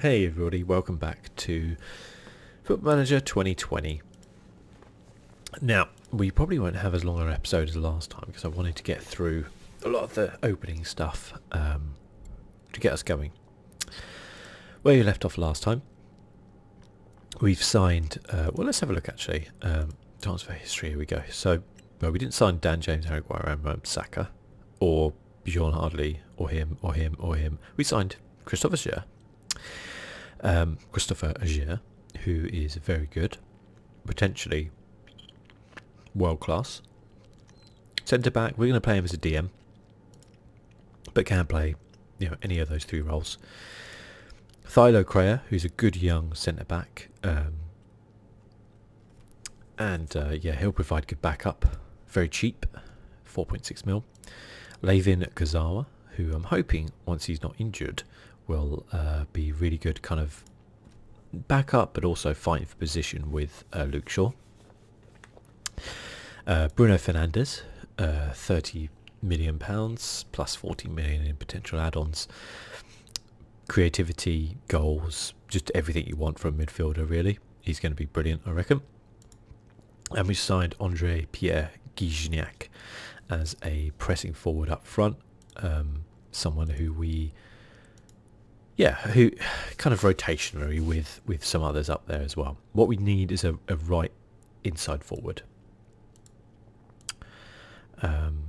Hey everybody, welcome back to Foot Manager 2020. Now, we probably won't have as long an episode as last time because I wanted to get through a lot of the opening stuff um, to get us going. Where you left off last time, we've signed, uh, well let's have a look actually, um, transfer history, here we go. So, well we didn't sign Dan James, Harry Guaram, Saka, or Bjorn Hardley or him or him or him. We signed Christopher Agir. Um, Christopher Agir, who is very good, potentially world class. Centre back, we're going to play him as a DM, but can play you know any of those three roles. Thilo Crea, who's a good young centre back, um, and uh, yeah, he'll provide good backup. Very cheap, 4.6 mil. Levin Kazawa, who I'm hoping once he's not injured, will uh, be really good kind of backup, but also fighting for position with uh, Luke Shaw. Bruno Fernandes, 30 million pounds plus 40 million in potential add-ons. Creativity, goals, just everything you want from a midfielder. Really, he's going to be brilliant, I reckon. And we signed Andre Pierre Gignac as a pressing forward up front, um, someone who we, yeah, who kind of rotationary with with some others up there as well. What we need is a, right inside forward. Um,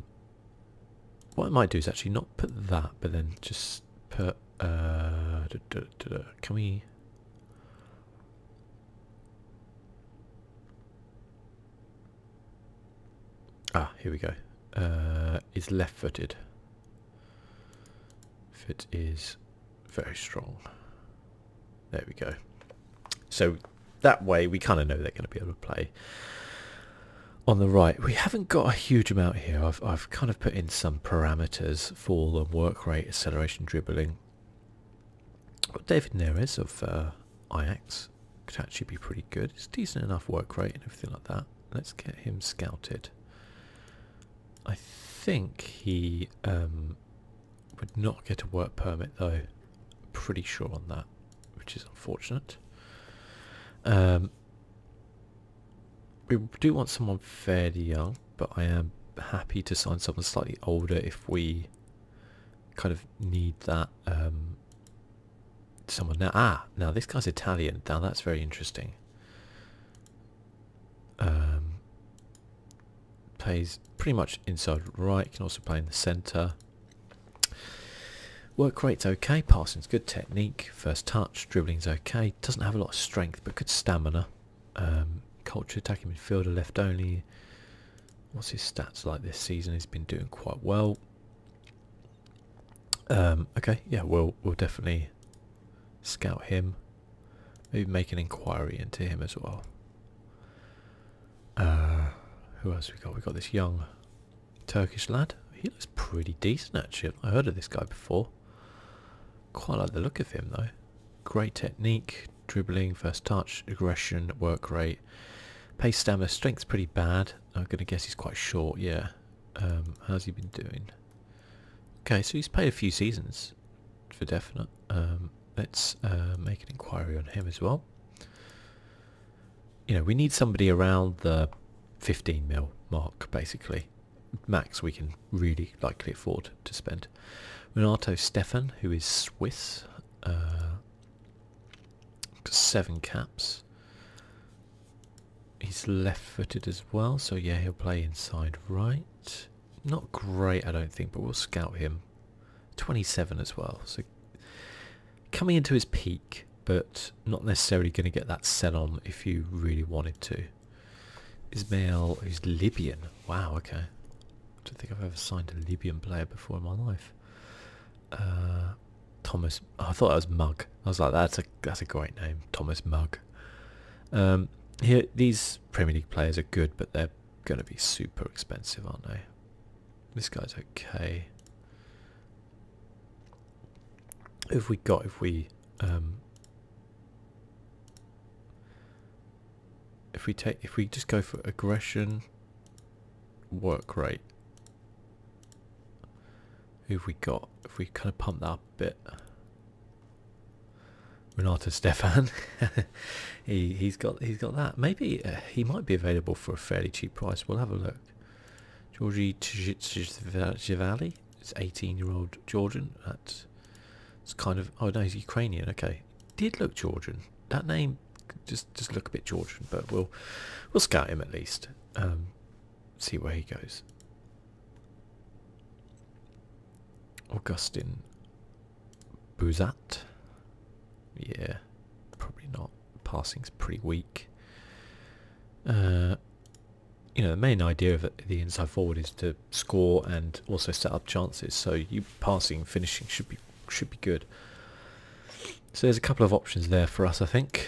what I might do is actually not put that, but then just put uh, can we? Ah, here we go. Uh, is left-footed. Fit is very strong. There we go. So that way we kind of know they're going to be able to play. On the right, we haven't got a huge amount here. I've I've kind of put in some parameters for the work rate, acceleration, dribbling. David Neres of uh, Ajax could actually be pretty good. It's decent enough work rate and everything like that. Let's get him scouted. I think he um, would not get a work permit though. pretty sure on that, which is unfortunate. Um, we do want someone fairly young, but I am happy to sign someone slightly older if we kind of need that um, someone now. Ah, now this guy's Italian. Now that's very interesting. Um, plays pretty much inside right. Can also play in the centre. Work rate's okay. Passing's good. Technique, first touch, dribbling's okay. Doesn't have a lot of strength, but good stamina. Um, culture attacking midfielder, left only. What's his stats like this season? He's been doing quite well. Um, okay, yeah, we'll we'll definitely scout him. Maybe make an inquiry into him as well. Uh, who else we got? We got this young Turkish lad. He looks pretty decent actually. I heard of this guy before. Quite like the look of him though. Great technique, dribbling, first touch, aggression, work rate. Pace, stamina, strength's pretty bad. I'm going to guess he's quite short, yeah. Um, how's he been doing? Okay, so he's played a few seasons for definite. Um, let's uh, make an inquiry on him as well. You know, we need somebody around the 15 mil mark, basically max we can really likely afford to spend. Renato Stefan, who is Swiss, uh, seven caps. He's left-footed as well, so yeah, he'll play inside right. Not great, I don't think, but we'll scout him. 27 as well, so coming into his peak, but not necessarily going to get that sell on if you really wanted to. Ismail, is Libyan. Wow, okay. I don't think I've ever signed a Libyan player before in my life. Uh, Thomas, oh, I thought that was Mug. I was like, that's a that's a great name, Thomas Mug. Um, here, these Premier League players are good, but they're going to be super expensive, aren't they? This guy's okay. Who have we got if we um, if we take, if we just go for aggression, work rate. Who have we got? If we kind of pump that up a bit. Renato Stefan, he he's got he's got that. Maybe he might be available for a fairly cheap price. We'll have a look. Georgie Chivali, it's 18-year-old Georgian. That's it's kind of oh no, he's Ukrainian. Okay, did look Georgian. That name just just look a bit Georgian, but we'll we'll scout him at least. Um, see where he goes. Augustine. Buzat. Yeah, probably not. Passing's pretty weak. Uh, you know, the main idea of the inside forward is to score and also set up chances. So you passing, finishing should be should be good. So there's a couple of options there for us, I think.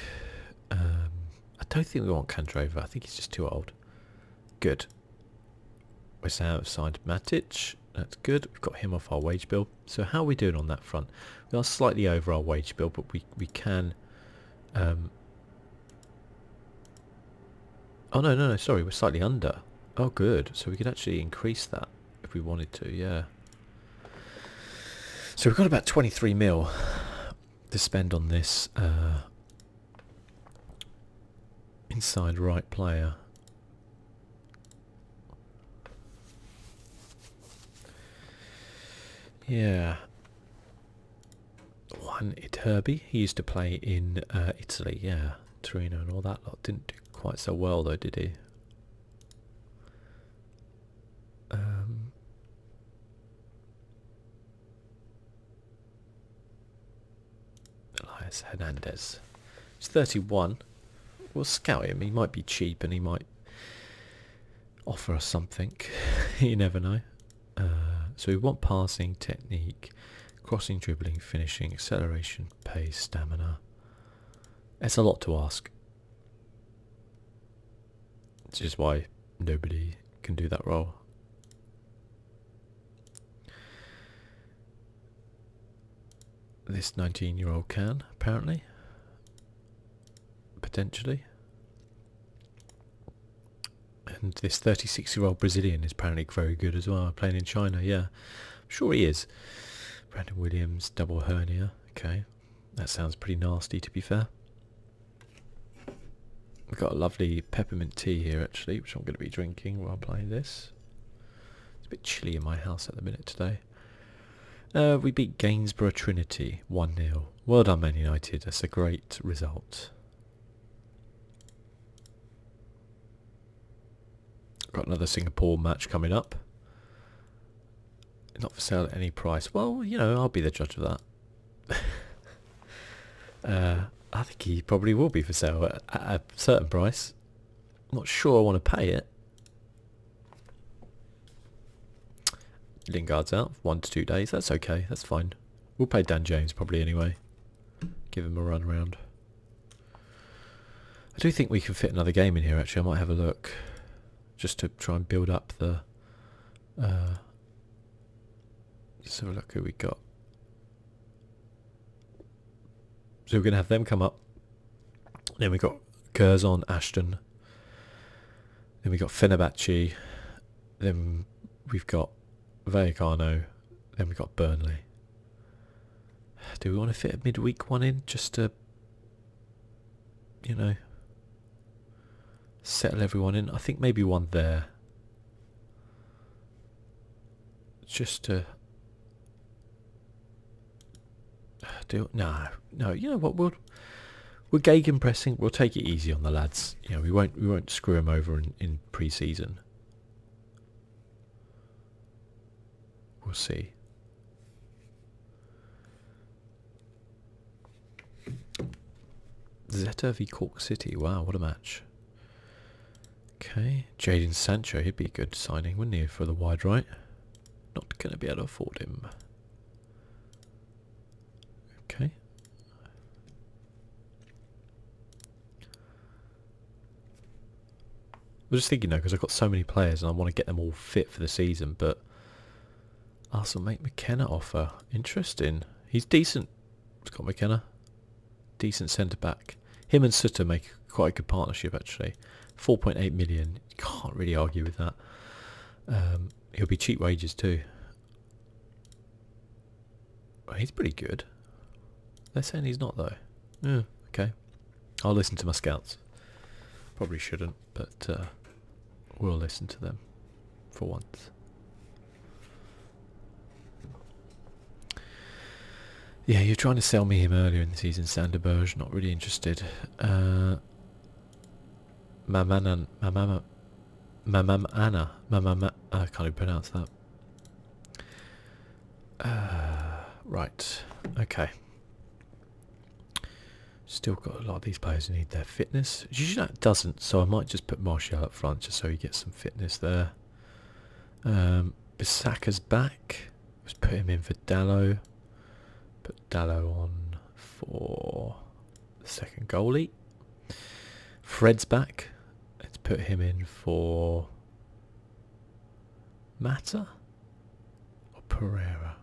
Um, I don't think we want Kandrova. I think he's just too old. Good. we Ham have signed Matic. That's good. We've got him off our wage bill. So how are we doing on that front? We are slightly over our wage bill, but we, we can um, Oh no, no, no, sorry, we're slightly under. Oh good, so we could actually increase that if we wanted to, yeah. So we've got about 23 mil to spend on this uh, inside right player. Yeah. Juan Iturbi. He used to play in uh, Italy, yeah, Torino and all that lot. Didn't do quite so well though, did he? Um, Elias Hernandez. He's 31. We'll scout him. He might be cheap and he might offer us something. you never know. Uh, so we want passing, technique, crossing, dribbling, finishing, acceleration, pace, stamina. It's a lot to ask. Which is why nobody can do that role. This 19-year-old can, apparently. Potentially. And this 36-year-old Brazilian is apparently very good as well, playing in China, yeah. sure he is. Brandon Williams, double hernia, okay. That sounds pretty nasty to be fair. We've got a lovely peppermint tea here actually, which I'm going to be drinking while playing this. It's a bit chilly in my house at the minute today. Uh, we beat Gainsborough Trinity 1-0. Well done Man United, that's a great result. Got another Singapore match coming up. Not for sale at any price. Well, you know, I'll be the judge of that. Uh, I think he probably will be for sale at, a certain price. not sure I want to pay it. Lingard's out one to two days. That's okay. That's fine. We'll play Dan James probably anyway. Give him a run around. I do think we can fit another game in here actually. I might have a look just to try and build up the... Uh, let look who we got. So we're going to have them come up. Then we got Curzon, Ashton. Then we got Fenerbahce. Then we've got Vallecano, then we've got Burnley. Do we want to fit a midweek one in just to, you know, settle everyone in? I think maybe one there. Just to do no, no. You know what? We'll we're Gagan pressing. We'll take it easy on the lads. You know, we won't we won't screw them over in pre-season. We'll see. Zeta v City. Wow, what a match. Okay, Jaden Sancho, he'd be good signing, we not he, for the wide right? Not going to be able to afford him. Okay, I was just thinking though, because I've got so many players and I want to get them all fit for the season, but Arsenal make McKenna offer. Interesting. He's decent, It's got McKenna. Decent centre-back. Him and Sutter make quite a good partnership, actually. 4.8 million. You can't really argue with that. it um, will be cheap wages too. He's pretty good. They're saying he's not though. okay. I'll listen to my scouts. Probably shouldn't, but uh, we'll listen to them for once. Yeah, you're trying to sell me him earlier in the season, Sanderberge. Not really interested. My man uh, my Mamanan, my Mamam Anna, My Mamama. I can't even pronounce that. Uh, right, okay. Still got a lot of these players who need their fitness. Usually that doesn't, so I might just put Martial up front just so he gets some fitness there. Um, back. Just put him in for Dallo. Put Dallo on for the second goalie. Fred's back. Let's put him in for Mata or Pereira.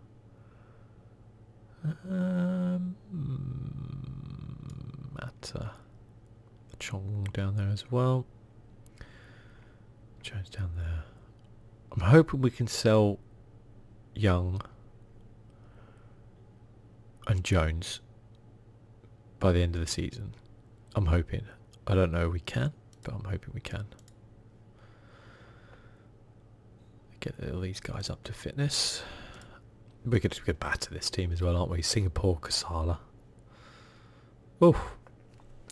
Um, hmm, Mata. Chong down there as well. Jones down there. I'm hoping we can sell Young and Jones by the end of the season. I'm hoping. I don't know we can, but I'm hoping we can. Get all these guys up to fitness. We could, we could batter this team as well, aren't we? Singapore, Kasala. Oh,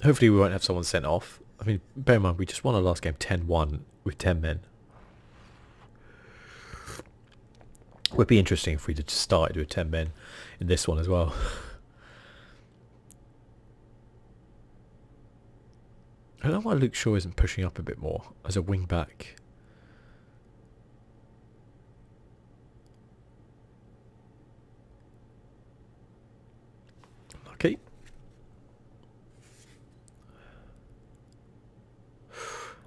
hopefully we won't have someone sent off. I mean, bear in mind, we just won our last game 10-1 with 10 men. Would be interesting if we just started with 10 men in this one as well. I don't know why Luke Shaw isn't pushing up a bit more as a wing back. Okay. I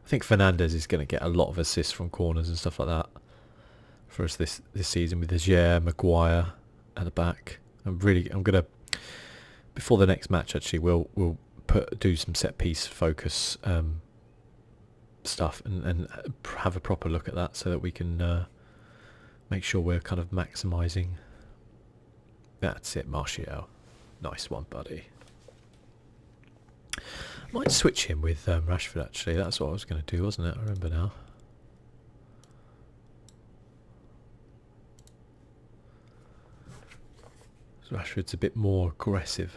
think Fernandez is going to get a lot of assists from corners and stuff like that for us this this season with Agier, Maguire at the back. I'm really I'm gonna before the next match actually we'll we'll put do some set piece focus um, stuff and and have a proper look at that so that we can uh, make sure we're kind of maximizing. That's it, Martial. Nice one, buddy. might switch him with um, Rashford actually. That's what I was going to do, wasn't it? I remember now. Rashford's a bit more aggressive.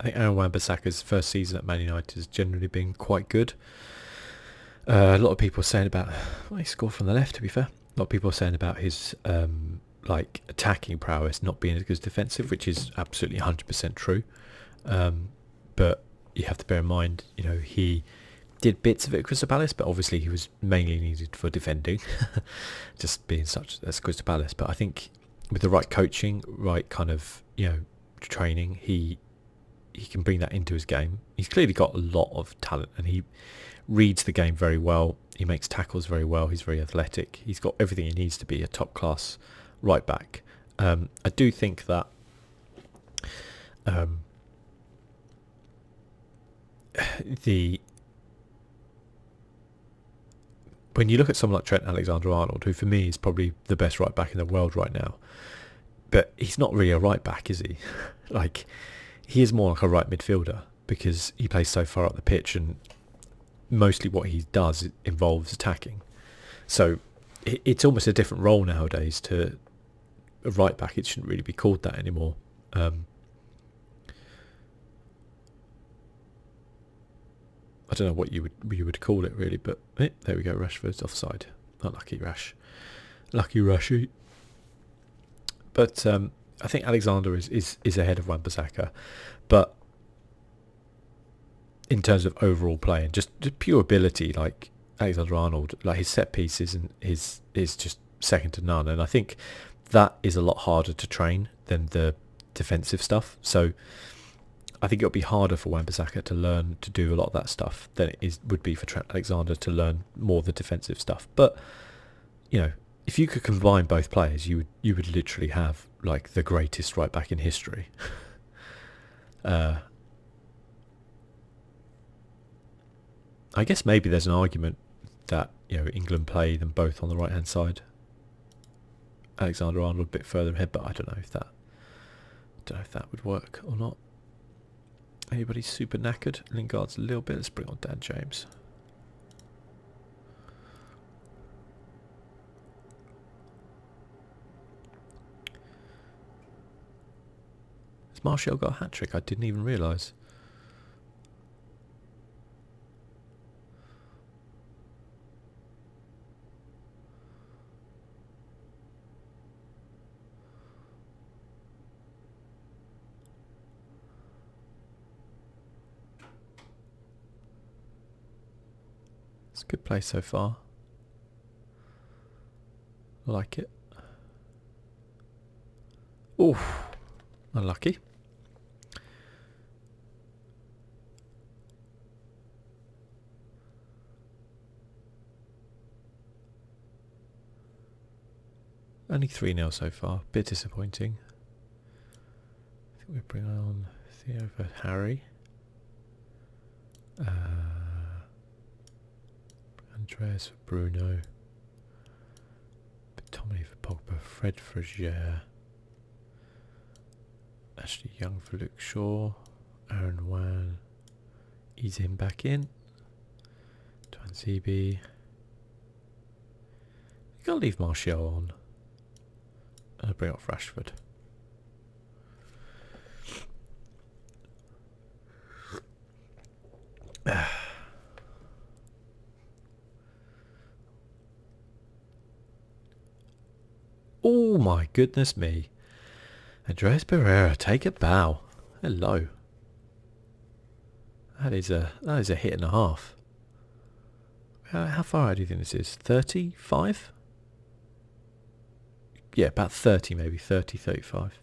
I think Aaron Wan-Bissaka's first season at Man United has generally been quite good. Uh, a lot of people are saying about his score from the left. To be fair, a lot of people are saying about his um, like attacking prowess not being as good as defensive, which is absolutely 100% true. Um, but you have to bear in mind, you know, he did bits of it at Crystal Palace, but obviously he was mainly needed for defending, just being such as Crystal Palace. But I think with the right coaching, right kind of you know training, he he can bring that into his game. He's clearly got a lot of talent and he reads the game very well. He makes tackles very well. He's very athletic. He's got everything he needs to be a top class right back. Um, I do think that um, the when you look at someone like Trent Alexander-Arnold, who for me is probably the best right back in the world right now, but he's not really a right back, is he? like, he is more like a right midfielder because he plays so far up the pitch and mostly what he does involves attacking. So it's almost a different role nowadays to a right back. It shouldn't really be called that anymore. Um, I don't know what you would you would call it really, but eh, there we go. Rashford's offside. Not Lucky Rush. Lucky Rush. But um, I think Alexander is, is, is ahead of wan But in terms of overall play and just, pure ability, like Alexander Arnold, like his set pieces and his is just second to none. And I think that is a lot harder to train than the defensive stuff. So I think it'll be harder for wan to learn to do a lot of that stuff enough than it is would be for Alexander to learn more the defensive stuff. But you know, if you could combine both players, you would you would literally have like the greatest right back in history. Uh, I guess maybe there's an argument that you know England play them both on the right hand side. Alexander Arnold a bit further ahead, but I don't know if that don't know if that would work or not. Anybody super knackered. Lingard's a little bit. Let's bring on Dad James. Has Martial got a hat trick? I didn't even realise. It's a good place so far. Like it. Oh, Unlucky. Only 3 0 so far. Bit disappointing. I think we bring on Theo for Harry. Uh, Andreas for Bruno. but Tommy for Pogba. Fred for Gier. Ashley Young for Luke Shaw. Aaron Wan. He's in back in. Twanzebe. You gotta leave Martial on. And bring off Rashford. oh my goodness me. Andres Pereira, take a bow. Hello. That is a that is a hit and a half. Uh, how, far do you think this is? Thirty-five. Yeah, about thirty, maybe 30, 35.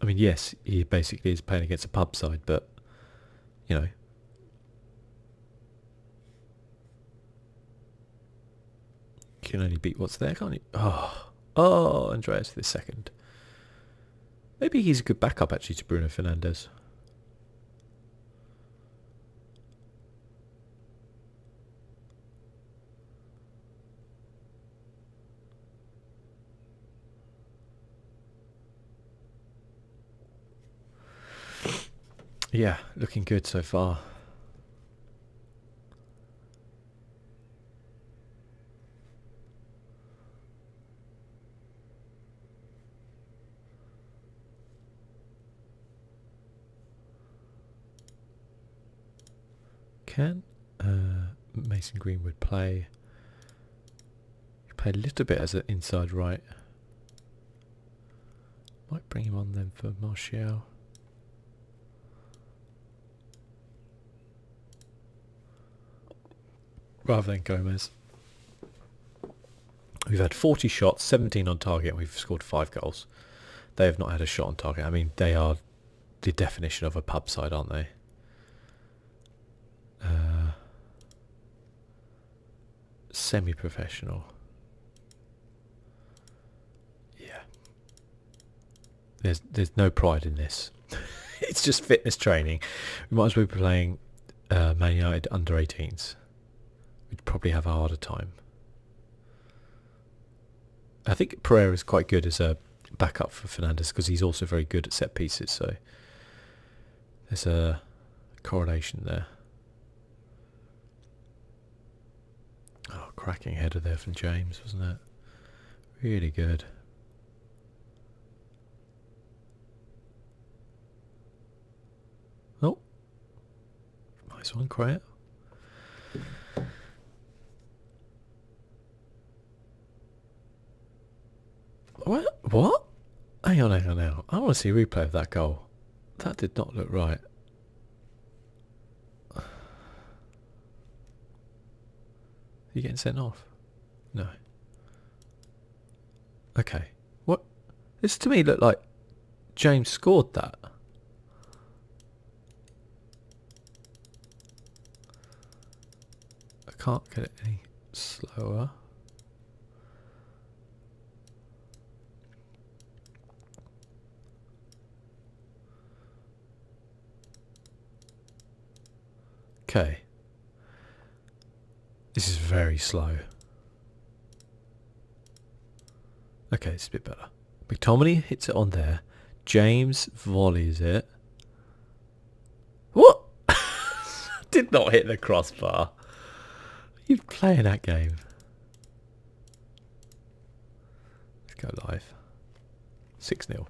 I mean, yes, he basically is playing against a pub side, but you know, can only beat what's there, can't he? Oh, oh, Andreas the second. Maybe he's a good backup actually to Bruno Fernandez. Yeah, looking good so far. Can uh, Mason Greenwood play? Play a little bit as an inside right. Might bring him on then for Martial rather than Gomez. We've had 40 shots, 17 on target, and we've scored 5 goals. They have not had a shot on target. I mean, they are the definition of a pub side, aren't they? Uh, semi-professional. Yeah. There's there's no pride in this. it's just fitness training. We might as well be playing uh, Man United under 18s. We'd probably have a harder time. I think Pereira is quite good as a backup for Fernandez because he's also very good at set pieces. So there's a correlation there. Oh, cracking header there from James, wasn't it? Really good. Oh, nice one, quiet. What? What? Hang on, hang on now. I want to see a replay of that goal. That did not look right. Are you getting sent off? No. Okay. What? This to me looked like James scored that. I can't get it any slower. Okay. This is very slow. Okay, it's a bit better. McTominay hits it on there. James volleys it. What? Did not hit the crossbar. You're playing that game. Let's go live. 6 0.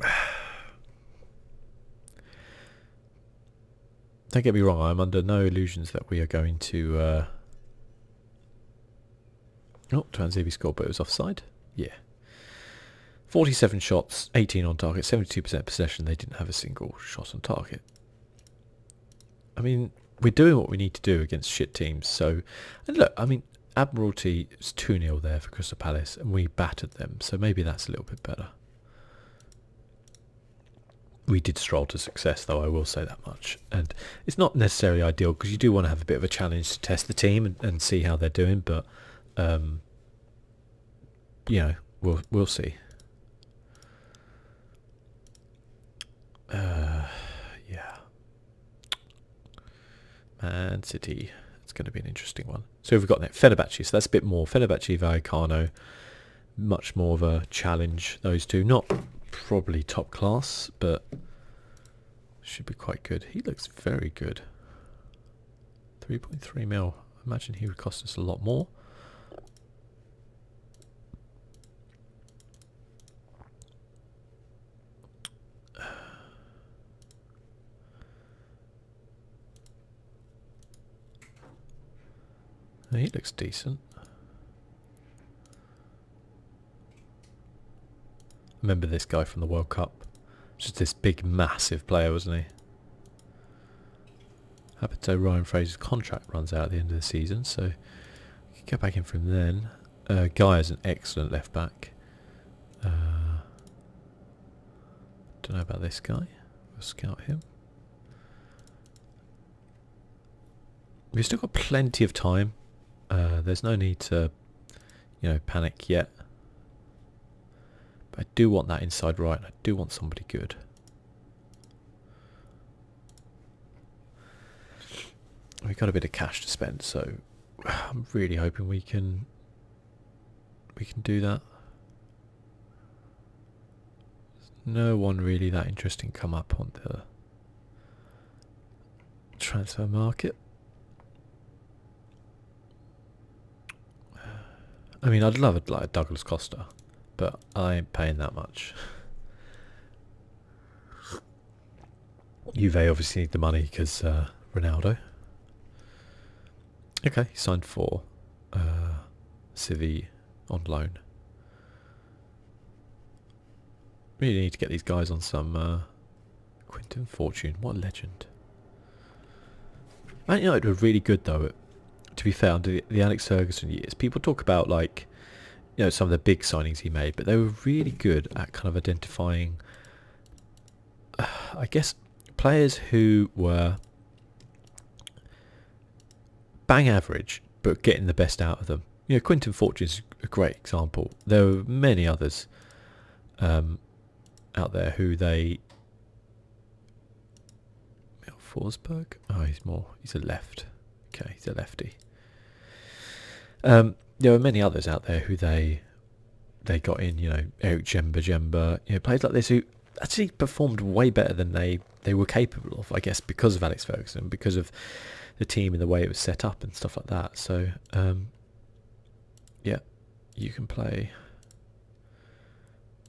Don't get me wrong, I'm under no illusions that we are going to. Uh... Oh, Transivi scored, but it was offside. Yeah. 47 shots, 18 on target, 72% possession. They didn't have a single shot on target. I mean, we're doing what we need to do against shit teams. So, and look, I mean, Admiralty is 2-0 there for Crystal Palace, and we battered them. So maybe that's a little bit better. We did stroll to success, though, I will say that much. And it's not necessarily ideal because you do want to have a bit of a challenge to test the team and, see how they're doing. But, um, you know, we'll, we'll see. Uh, yeah. Man City. It's going to be an interesting one. So we've got that Fenerbahce. So that's a bit more Fenerbahce Vallecano. Much more of a challenge. Those two, not probably top class, but should be quite good. He looks very good. 3.3 mil. I imagine he would cost us a lot more. He looks decent. Remember this guy from the World Cup? Just this big, massive player, wasn't he? Happened to Ryan Fraser's contract runs out at the end of the season, so we could go back in from then. Uh, guy is an excellent left back. Uh, don't know about this guy. We'll scout him. We've still got plenty of time. Uh, there's no need to, you know, panic yet. But I do want that inside right. I do want somebody good. we have got a bit of cash to spend, so I'm really hoping we can we can do that. There's no one really that interesting come up on the transfer market. I mean, I'd love a, like Douglas Costa, but I ain't paying that much. Juve obviously need the money because uh, Ronaldo. Okay, signed for uh, Civi on loan. Really need to get these guys on some uh, Quinton Fortune. What a legend. Man United were really good though. To be fair, under the Alex Ferguson years, people talk about like you know some of the big signings he made, but they were really good at kind of identifying, I guess, players who were bang average but getting the best out of them. You know, Quinton Fortune's a great example. There are many others um, out there who they. Forsberg? Oh, he's more. He's a left. Okay, he's a lefty. Um, there were many others out there who they they got in, you know, Eric Jemba Jemba, you know, players like this who actually performed way better than they, they were capable of, I guess, because of Alex Ferguson, because of the team and the way it was set up and stuff like that. So, um, yeah, you can play,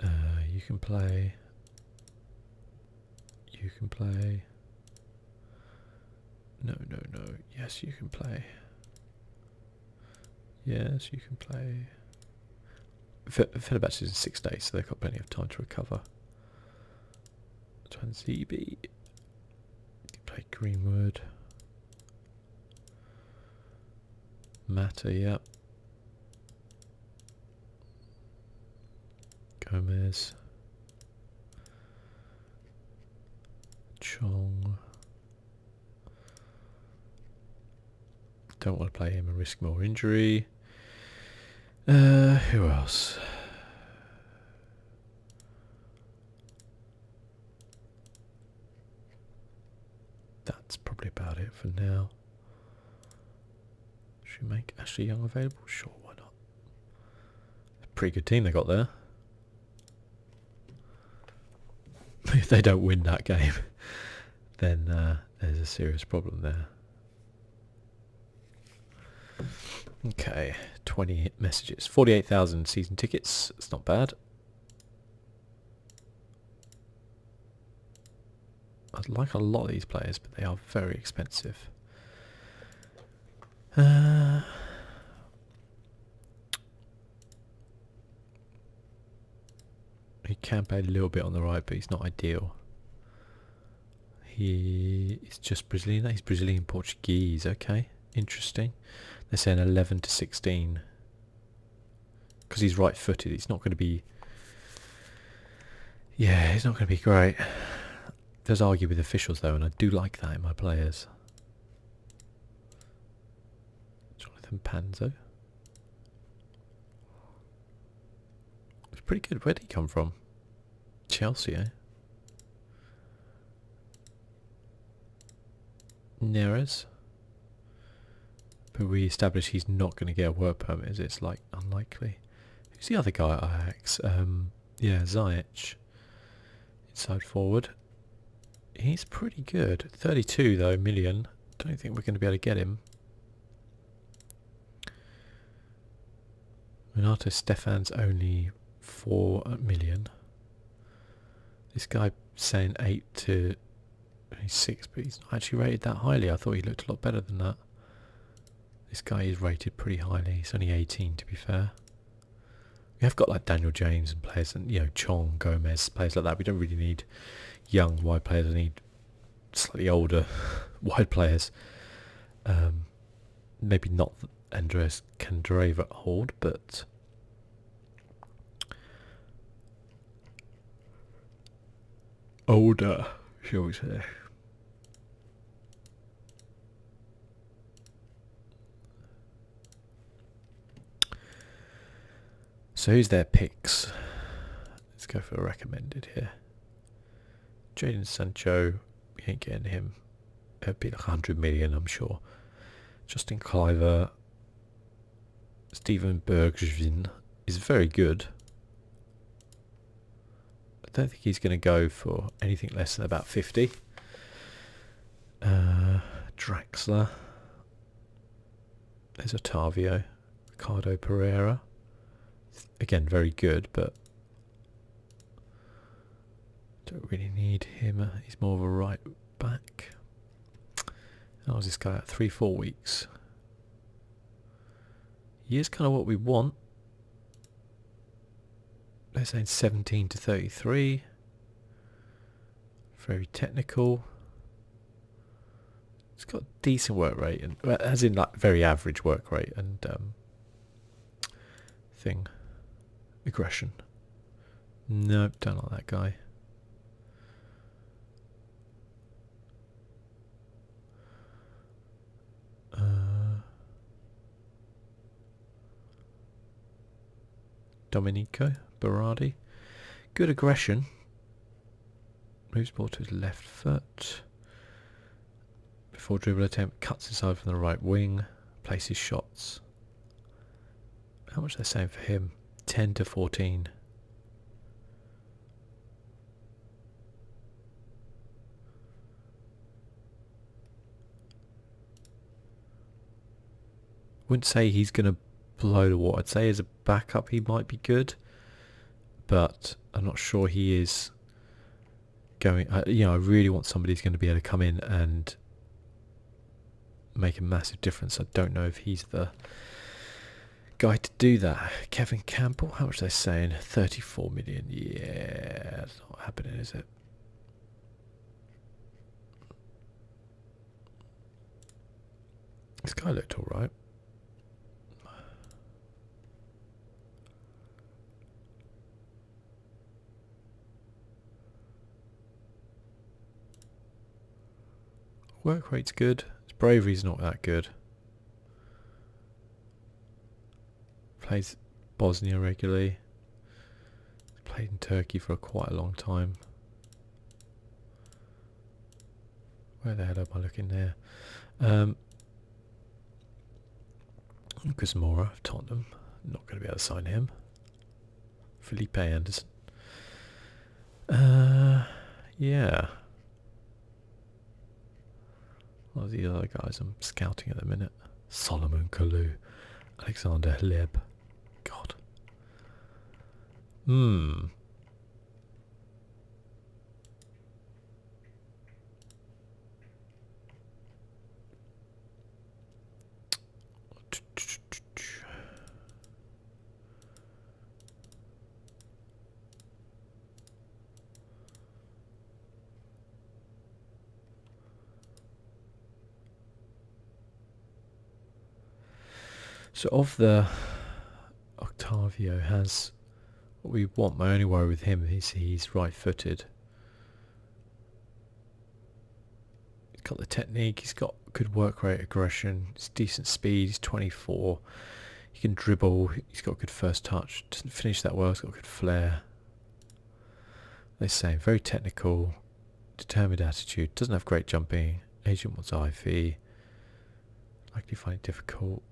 uh, you can play, you can play, no, no, no. Yes, you can play. Yes, you can play. Fenerbahce is in six days, so they've got plenty of time to recover. Transibi. Play Greenwood. Matter, yep. Gomez, Chong. Don't want to play him and risk more injury. Uh, who else? That's probably about it for now. Should we make Ashley Young available? Sure, why not? Pretty good team they got there. if they don't win that game, then uh, there's a serious problem there. Okay, 20 messages. 48,000 season tickets. It's not bad. I'd like a lot of these players, but they are very expensive. Uh, he can play a little bit on the right, but he's not ideal. He is just Brazilian. He's Brazilian Portuguese. Okay, interesting. They're saying 11 to 16 because he's right-footed. He's not going to be. Yeah, he's not going to be great does argue with officials though, and I do like that in my players. Jonathan Panzo. It's pretty good. Where did he come from? Chelsea, eh? Neres. But we establish he's not going to get a work permit, is It's like unlikely. Who's the other guy Ix. Um, yeah, Ziyech inside forward. He's pretty good. 32 though, million. Don't think we're going to be able to get him. Renato Stefan's only 4 million. This guy saying 8 to 6, but he's actually rated that highly. I thought he looked a lot better than that. This guy is rated pretty highly. He's only 18 to be fair. We have got like Daniel James and players and you know Chong, Gomez, players like that. We don't really need young wide players. We need slightly older wide players. Um, maybe not Andreas Kandreva hold, but older, shall we say? So who's their picks? Let's go for recommended here. Jaden Sancho, you ain't getting him. It'd be a 100 million, I'm sure. Justin Cliver, Steven Bergvin is very good. I don't think he's going to go for anything less than about 50. Uh, Draxler. There's Otavio. Ricardo Pereira. Again, very good, but don't really need him. Uh, he's more of a right back. How's this guy at? Three, four weeks. He is kind of what we want let's say 17 to 33 very technical it's got decent work rate and as in like very average work rate and um, thing aggression nope don't like that guy uh, Domenico Berardi. Good aggression. Moves ball to his left foot. Before dribble attempt, cuts inside from the right wing, places shots. How much are they saying for him? 10 to 14. I Wouldn't say he's going to blow the water. I'd say as a backup he might be good, but I'm not sure he is going. I, uh, you know, I really want somebody who's going to be able to come in and make a massive difference. I don't know if he's the guy to do that. Kevin Campbell, how much are they saying? 34 million. Yeah, it's not happening, is it? This guy looked alright. Work rate's good. His bravery's not that good. Plays Bosnia regularly. Played in Turkey for quite a long time. Where the hell am I looking there? Um, Lucas Mora of Tottenham. Not going to be able to sign him. Felipe Anderson. Uh, yeah. What are the other guys I'm scouting at the minute? Solomon Kalou, Alexander Hleb. God. Hmm. So of the Octavio has what we want. My only worry with him is he's right-footed. He's got the technique. He's got good work rate, aggression. He's decent speed. He's 24. He can dribble. He's got good first touch. Doesn't finish that well. He's got good flair. They say very technical, determined attitude, doesn't have great jumping, agent wants Ivy. likely find it difficult.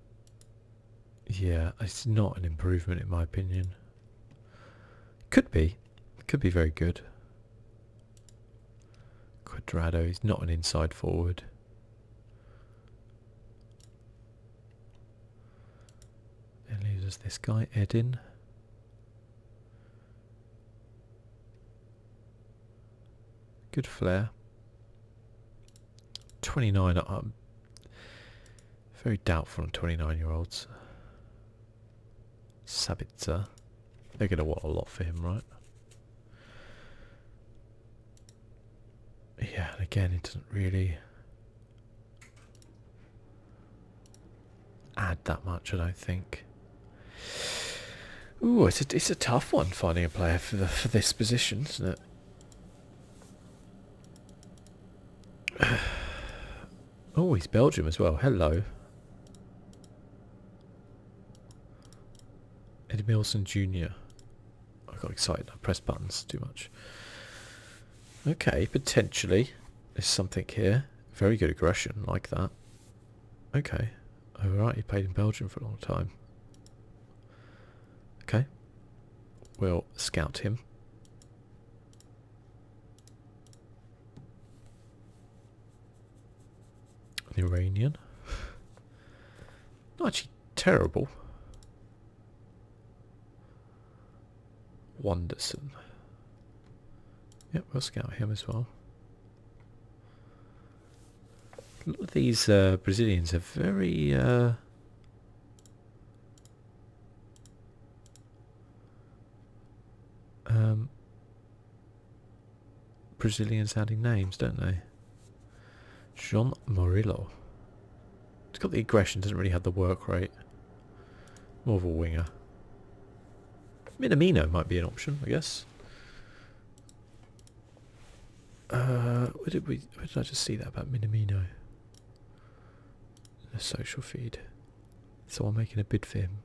Yeah, it's not an improvement in my opinion. Could be. Could be very good. Quadrado is not an inside forward. Then leaves this guy, Edin. Good flair. 29, i very doubtful on 29 year olds. Sabitzer. They're going to want a lot for him, right? Yeah, and again, he doesn't really add that much, I think. Ooh, it's a, it's a tough one finding a player for, for this position, isn't it? Oh, he's Belgium as well. Hello. Eddie Milson Jr. I got excited. I pressed buttons too much. Okay, potentially. There's something here. Very good aggression, like that. Okay. Alright, he played in Belgium for a long time. Okay. We'll scout him. An Iranian. Not actually terrible. Wanderson. Yep, we'll scout him as well. A these uh, Brazilians are very... Uh, um, Brazilian sounding names, don't they? John Morillo. It's got the aggression, doesn't really have the work rate. More of a winger. Minamino might be an option, I guess. Uh, where did we? did I just see that about Minamino? The social feed. So I'm making a bid for him.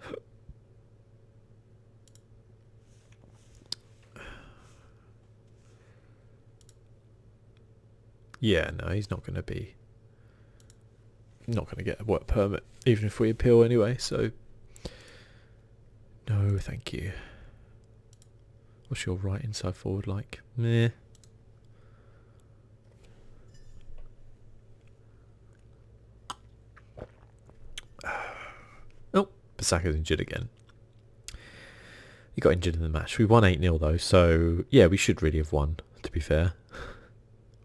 yeah, no, he's not going to be not going to get a work permit, even if we appeal anyway, so no, thank you. What's your right inside forward like? Meh. oh, Bissaka's injured again. He got injured in the match. We won 8-0 though, so yeah, we should really have won, to be fair.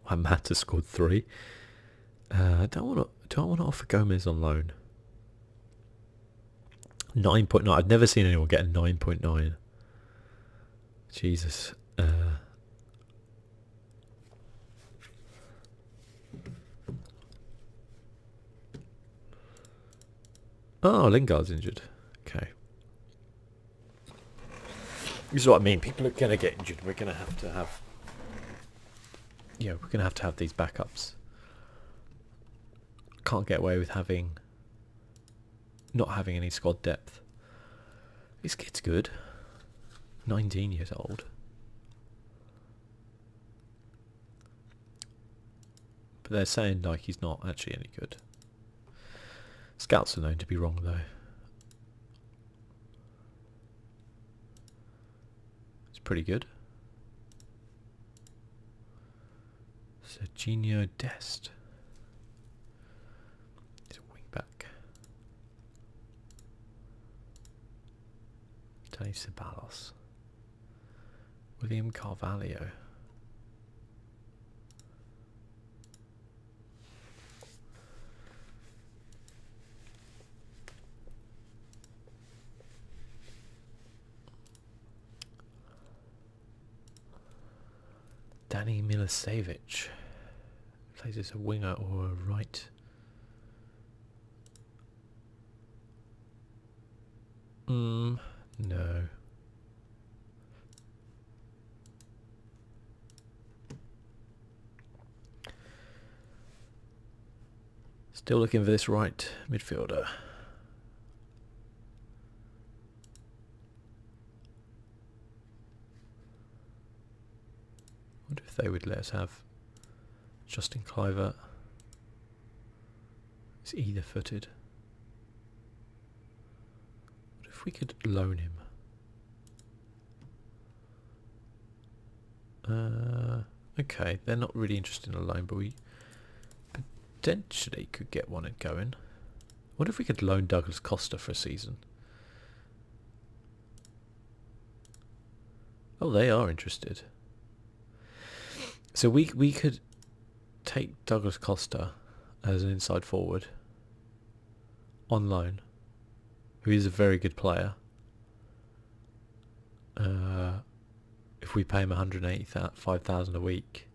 Why has scored three. Uh, I don't want to. Do I want to offer Gomez on loan? Nine point nine. I've never seen anyone get a nine point nine. Jesus. Uh, oh, Lingard's injured. Okay. This is what I mean. People are going to get injured. We're going to have to have... Yeah, we're going to have to have these backups. Can't get away with having not having any squad depth. This kid's good. 19 years old. But they're saying like he's not actually any good. Scouts are known to be wrong though. It's pretty good. Serginho Dest. wing back. Tony Ceballos. William Carvalho. Danny Milosevic plays as a winger or a right. Mm, no. Still looking for this right midfielder wonder if they would let us have Justin Cliver He's either footed. What if we could loan him? Uh, okay, they're not really interested in a loan, but we potentially could get one and go in. What if we could loan Douglas Costa for a season? Oh, they are interested. So we we could take Douglas Costa as an inside forward on loan, who is a very good player. Uh, if we pay him 185,000 a week,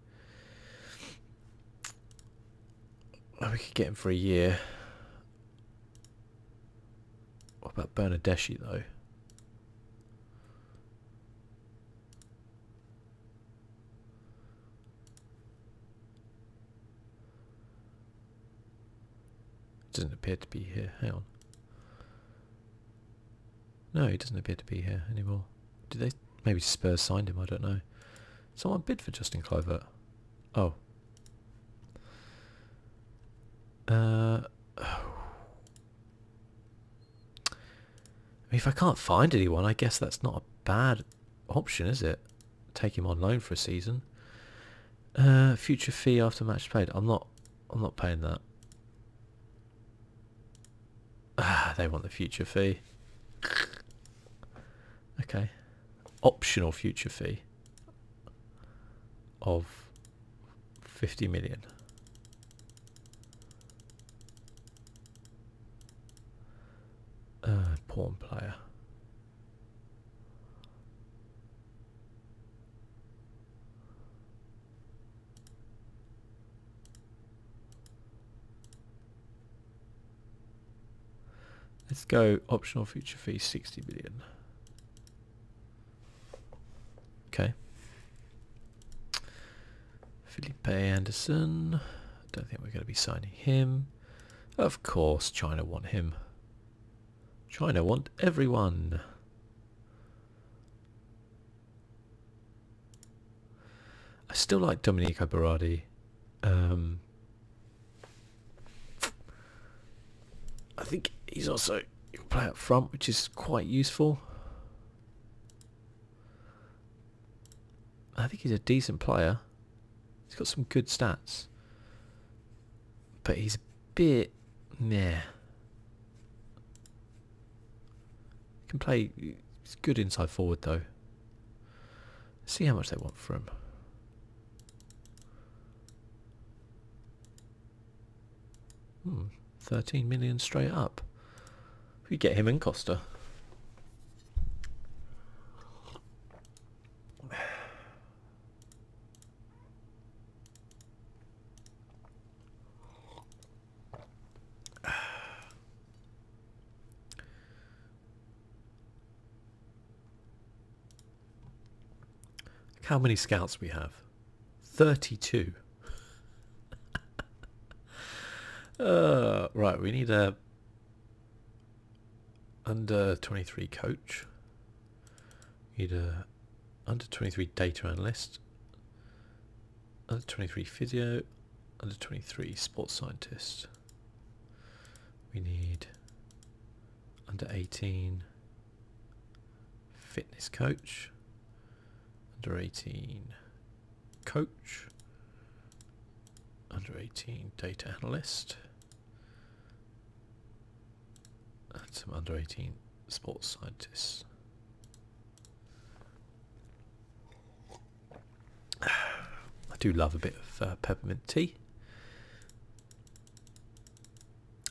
Oh, we could get him for a year. What about Bernadeschi though? Doesn't appear to be here. Hang on. No, he doesn't appear to be here anymore. Did they? Maybe Spurs signed him. I don't know. Someone bid for Justin Clivert. Oh. Uh, I mean, if I can't find anyone, I guess that's not a bad option, is it? Take him on loan for a season. Uh, future fee after match paid. I'm not. I'm not paying that. they want the future fee. Okay. Optional future fee of 50 million. Uh, pawn player. Let's go optional future fee 60 billion. Okay. Philippe Anderson. I don't think we're going to be signing him. Of course China want him. China want everyone. I still like Domenico Berardi. Um, I think he's also play up front, which is quite useful. I think he's a decent player. He's got some good stats, but he's a bit meh. He can play. He's good inside forward though. See how much they want for him. Hmm, 13 million straight up. We get him in Costa how many scouts we have. 32. Uh, right, we need a under 23 coach. We need a under 23 data analyst. Under 23 video under 23 sports scientist we need under 18 fitness coach under 18 coach under 18 data analyst and some under 18 sports scientists I do love a bit of uh, peppermint tea.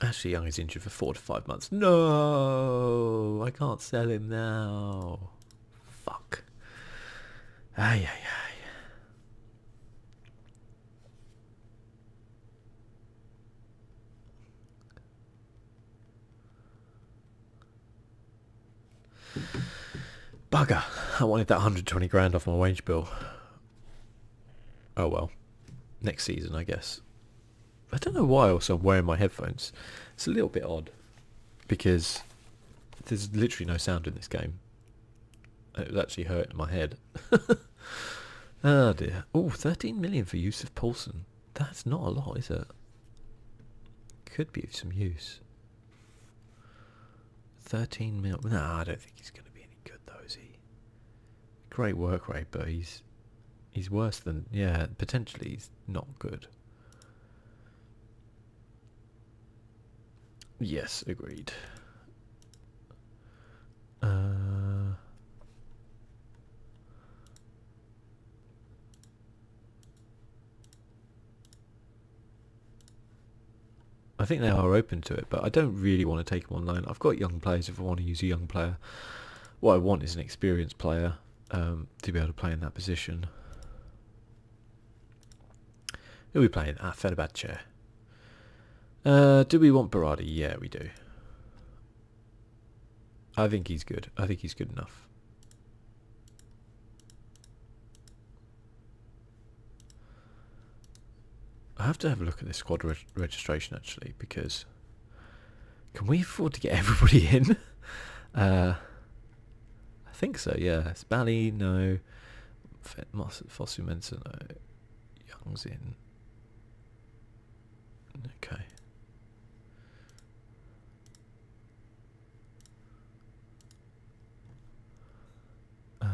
Ashley Young is injured for four to five months. No, I can't sell him now. Fuck. Ay, ay, ay. Bugger. I wanted that 120 grand off my wage bill. Oh well. Next season, I guess. I don't know why also I'm wearing my headphones. It's a little bit odd. Because there's literally no sound in this game. It was actually hurting my head. oh dear. Oh, 13 million for Yusuf Paulson. That's not a lot, is it? Could be of some use. 13 mil. No, I don't think he's going to be any good though, is he? Great work rate, but he's he's worse than yeah. Potentially, he's not good. Yes, agreed. Uh, I think they are open to it, but I don't really want to take them online. I've got young players if I want to use a young player. What I want is an experienced player um, to be able to play in that position. Who will be playing? at ah, Fenerbahce. Uh, do we want Barati? Yeah, we do. I think he's good. I think he's good enough. I have to have a look at this squad registration actually because can we afford to get everybody in? Uh, I think so. Yeah, it's Bally no, Fossu Mensa no, Young's in. Okay. Uh,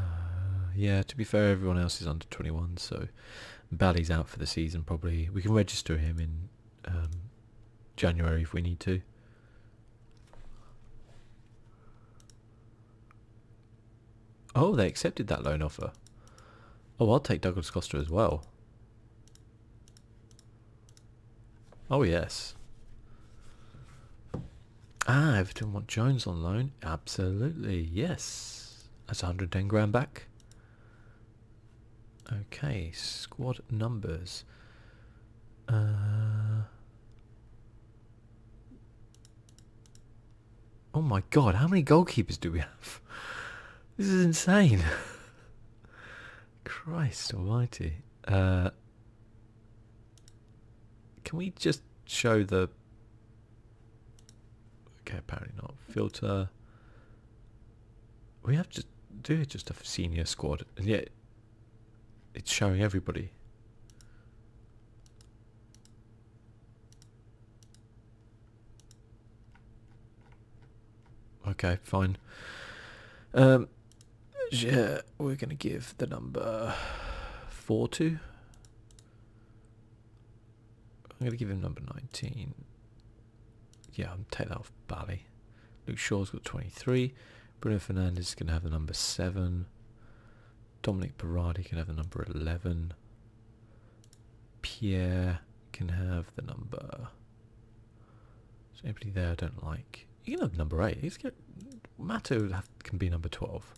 yeah, to be fair, everyone else is under 21, so Bally's out for the season probably. We can register him in um, January if we need to. Oh, they accepted that loan offer. Oh, I'll take Douglas Costa as well. Oh, yes i Ah, Everton want Jones on loan. Absolutely, yes. That's 110 grand back. Okay, squad numbers. Uh, oh my god, how many goalkeepers do we have? This is insane. Christ almighty. Uh, can we just show the... Okay, apparently not. Filter. We have to do it just a senior squad, and yet it's showing everybody. Okay, fine. Um, yeah, we're going to give the number 4 to. I'm going to give him number 19. Yeah, i am take that off Bally. Luke Shaw's got 23. Bruno Fernandez is going to have the number 7. Dominic Berardi can have the number 11. Pierre can have the number... Is anybody there I don't like? You can have number 8. He's Mato can be number 12.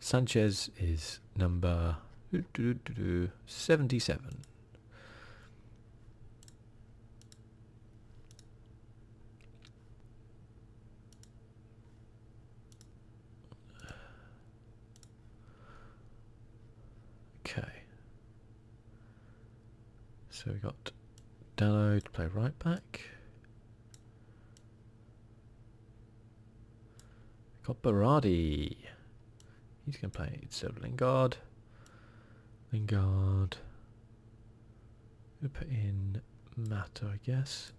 Sanchez is number 77. Okay. So we got Dallo to play right back. Got He's going to play instead of Lingard. Lingard. we put in Matter, I guess.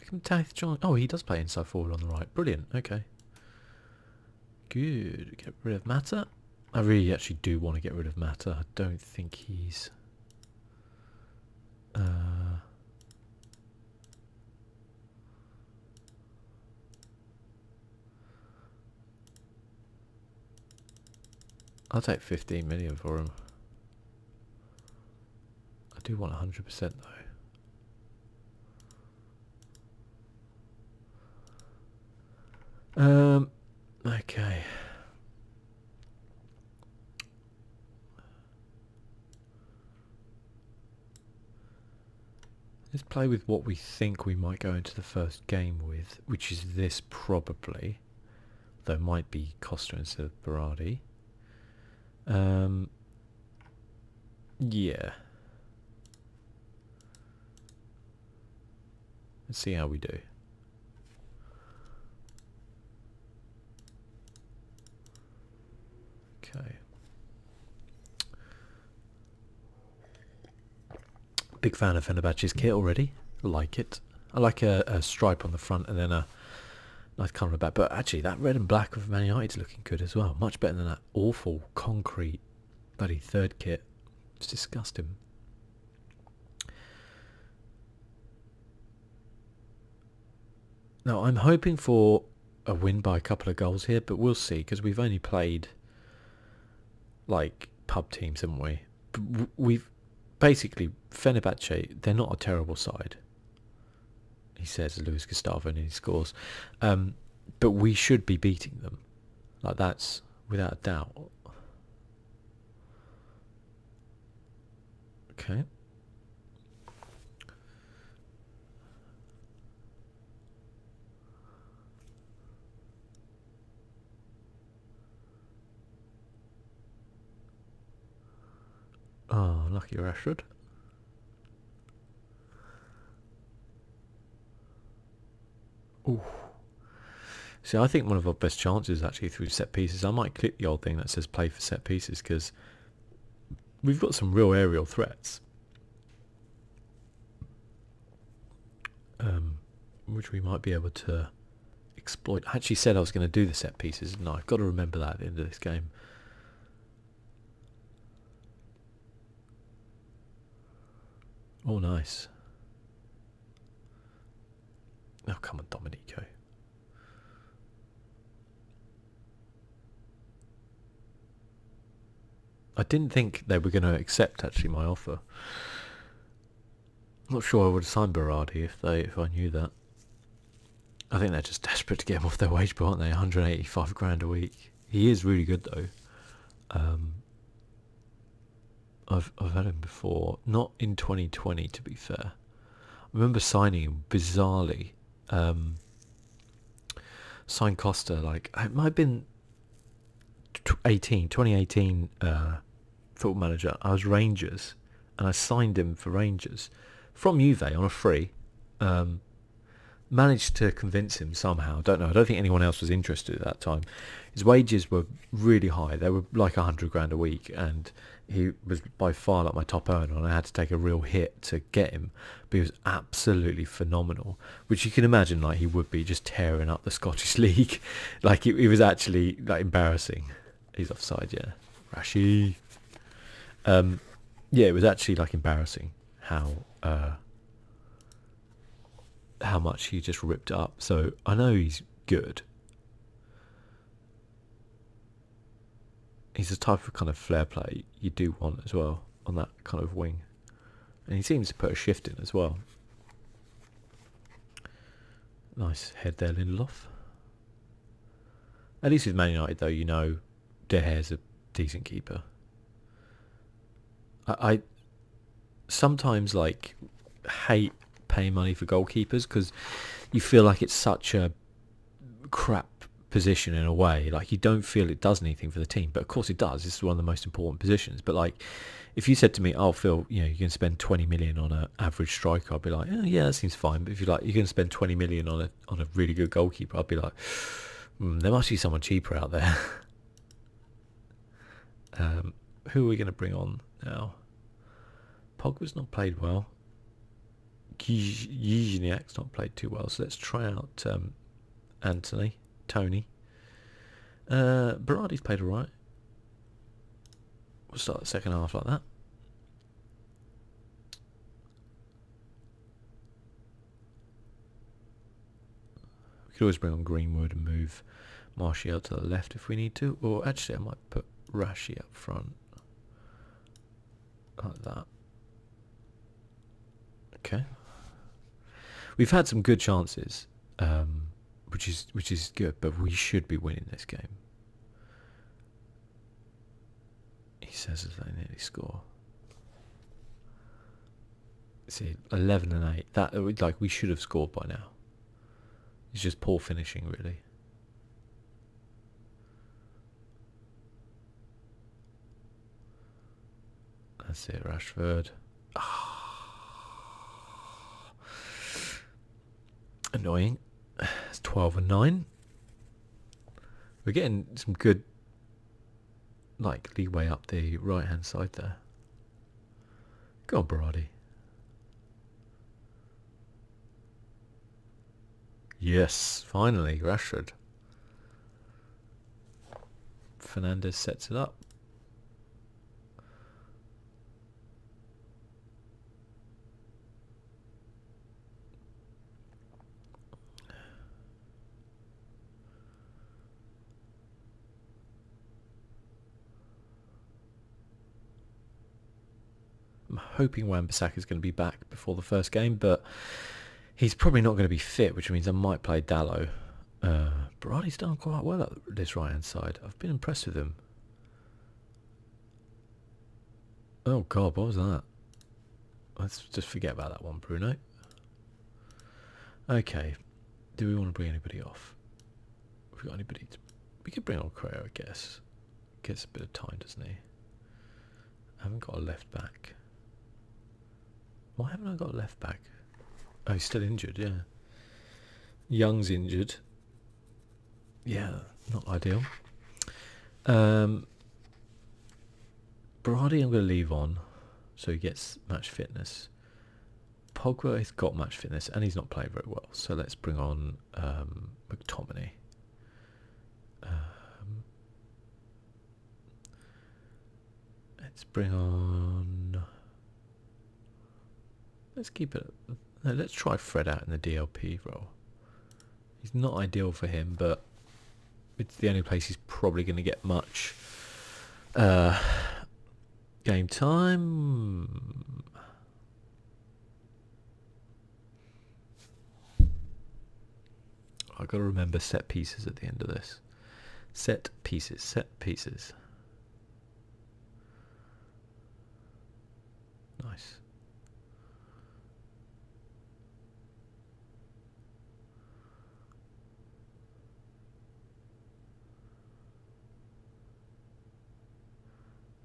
We can John. Oh, he does play inside forward on the right. Brilliant. Okay. Good. Get rid of Matter. I really actually do want to get rid of Matter. I don't think he's uh, I'll take 15 million for him. I do want 100% though. Um, okay. Let's play with what we think we might go into the first game with, which is this probably, though might be Costa instead of Berardi. Um, yeah. Let's see how we do. Okay. Big fan of Fenerbahce's kit already. Like it. I like a, stripe on the front and then a nice colour on the back. But actually, that red and black of Man United's looking good as well. Much better than that awful concrete bloody third kit. It's disgusting. Now, I'm hoping for a win by a couple of goals here, but we'll see, because we've only played, like, pub teams, haven't we? We've, basically, Fenerbahce, they're not a terrible side, he says, Luis Gustavo, and he scores. Um, but we should be beating them. Like, that's without a doubt. Okay. Ah, lucky Rashford. Ooh. See, I think one of our best chances actually through set pieces. I might click the old thing that says play for set pieces because we've got some real aerial threats. Um, which we might be able to exploit. I actually said I was going to do the set pieces, and I've got to remember that at the end of this game. Oh, nice. Now oh, come on, Dominico. I didn't think they were going to accept actually my offer. not sure I would have signed Berardi if I knew that. I think they're just desperate to get him off their wage bill, aren't they? 185 grand a week. He is really good though. Um, I've I've had him before, not in 2020 to be fair. I remember signing him bizarrely. Um, signed Costa like it might have been 18, 2018 uh, football manager. I was Rangers and I signed him for Rangers from Juve on a free. Um, managed to convince him somehow. Don't know. I don't think anyone else was interested at that time. His wages were really high. They were like a hundred grand a week, and he was by far like my top earner, and I had to take a real hit to get him. But he was absolutely phenomenal, which you can imagine like he would be just tearing up the Scottish League. like it, was actually like embarrassing. He's offside, yeah. Rashi. Um, yeah, it was actually like embarrassing how uh, how much he just ripped up. So I know he's good he's the type of kind of flair play you do want as well on that kind of wing. And he seems to put a shift in as well. Nice head there, Lindelof. At least with Man United, though, you know De is a decent keeper. I sometimes like hate paying money for goalkeepers because you feel like it's such a crap position in a way. Like you don't feel it does anything for the team, but of course it does. This is one of the most important positions. But like, if you said to me, oh, "I'll feel you know, you can spend 20 million on an average striker," I'd be like, oh, "Yeah, that seems fine." But if you like, you can spend 20 million on a on a really good goalkeeper, I'd be like, hmm, "There must be someone cheaper out there." Um, who are we going to bring on now? Pogba's not played well. Gijniak's not played too well. So let's try out um, Anthony, Tony. Uh, Berardi's played all right. We'll start the second half like that. We could always bring on Greenwood and move Martial to the left if we need to. Or actually, I might put Rashie up front. Like that. Okay. We've had some good chances, um, which is which is good, but we should be winning this game. He says as they nearly score. See, eleven and eight. That like we should have scored by now. It's just poor finishing, really. That's it, Rashford. Ah. Annoying. It's 12 and 9. We're getting some good like leeway up the right hand side there. Go on, Barati. Yes, finally, Rashford. Fernandez sets it up. I'm hoping Wan-Bissaka is going to be back before the first game, but he's probably not going to be fit, which means I might play Dalo. Uh, Berardi's done quite well at this right-hand side. I've been impressed with him. Oh god, what was that? Let's just forget about that one, Bruno. Okay, do we want to bring anybody off? we Have got anybody? To... We could bring on Creo, I guess. Gets a bit of time, doesn't he? I haven't got a left back. Why haven't I got a left back? Oh, he's still injured, yeah. Young's injured. Yeah, not ideal. Um, Brady I'm going to leave on so he gets match fitness. Pogba has got match fitness and he's not playing very well. So let's bring on um, McTominay. Um, let's bring on. Let's keep it. let's try Fred out in the DLP role. He's not ideal for him, but it's the only place he's probably going to get much uh, game time. I gotta remember set pieces at the end of this. Set pieces, set pieces. Nice.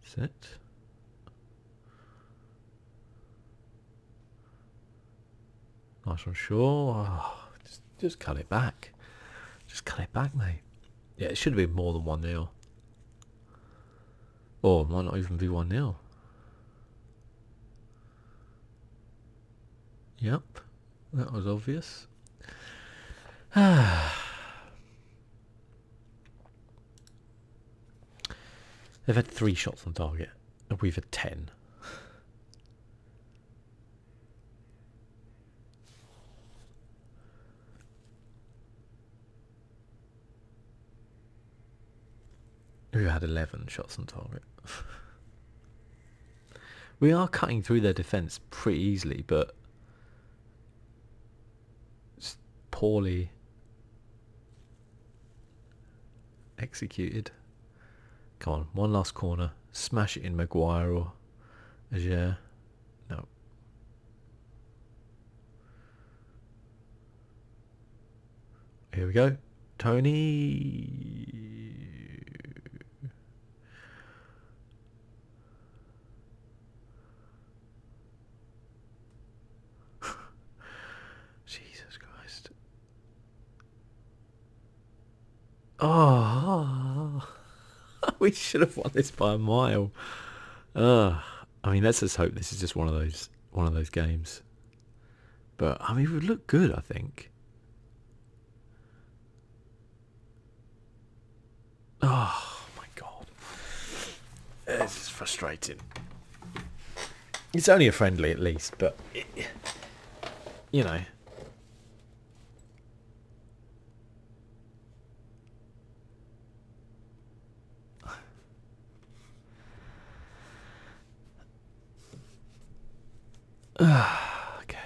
Set not sure. Ah, just, just cut it back. Just cut it back, mate. Yeah, it should have been more than 1 0. Oh, might not even be 1 0. Yep, that was obvious. Ah. They've had three shots on target, and we've had ten. we We've had 11 shots on target. we are cutting through their defence pretty easily, but poorly Executed. Come on, one last corner. Smash it in Maguire or Ager. No. Here we go. Tony. Jesus Christ. Oh, we should have won this by a mile. Uh, I mean, let's just hope this is just one of those one of those games. But I mean, it would look good, I think. Oh my god, this is frustrating. It's only a friendly at least, but you know. okay.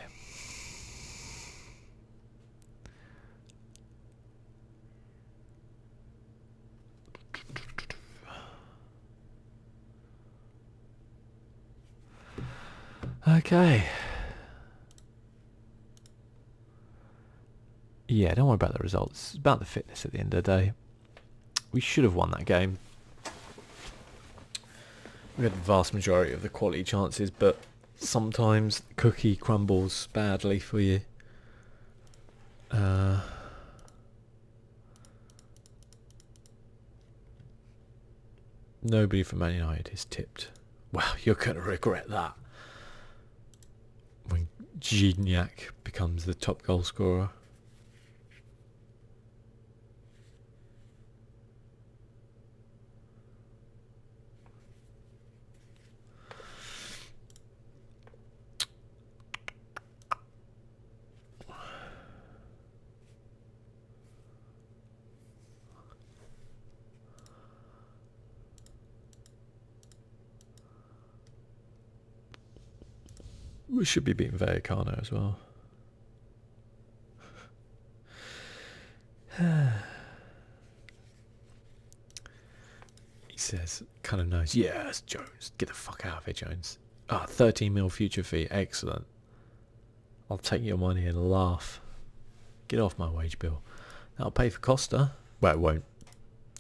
Okay. Yeah, don't worry about the results. about the fitness at the end of the day. We should have won that game. We had the vast majority of the quality chances, but sometimes cookie crumbles badly for you. Uh, Nobody from Man United is tipped. Well, you're going to regret that. When Gignac becomes the top goal scorer. We should be beating Vallecano as well. he says, kind of nice. Yes, Jones, get the fuck out of here, Jones. Ah, 13 mil future fee. Excellent. I'll take your money and laugh. Get off my wage bill. That'll pay for Costa. Well, it won't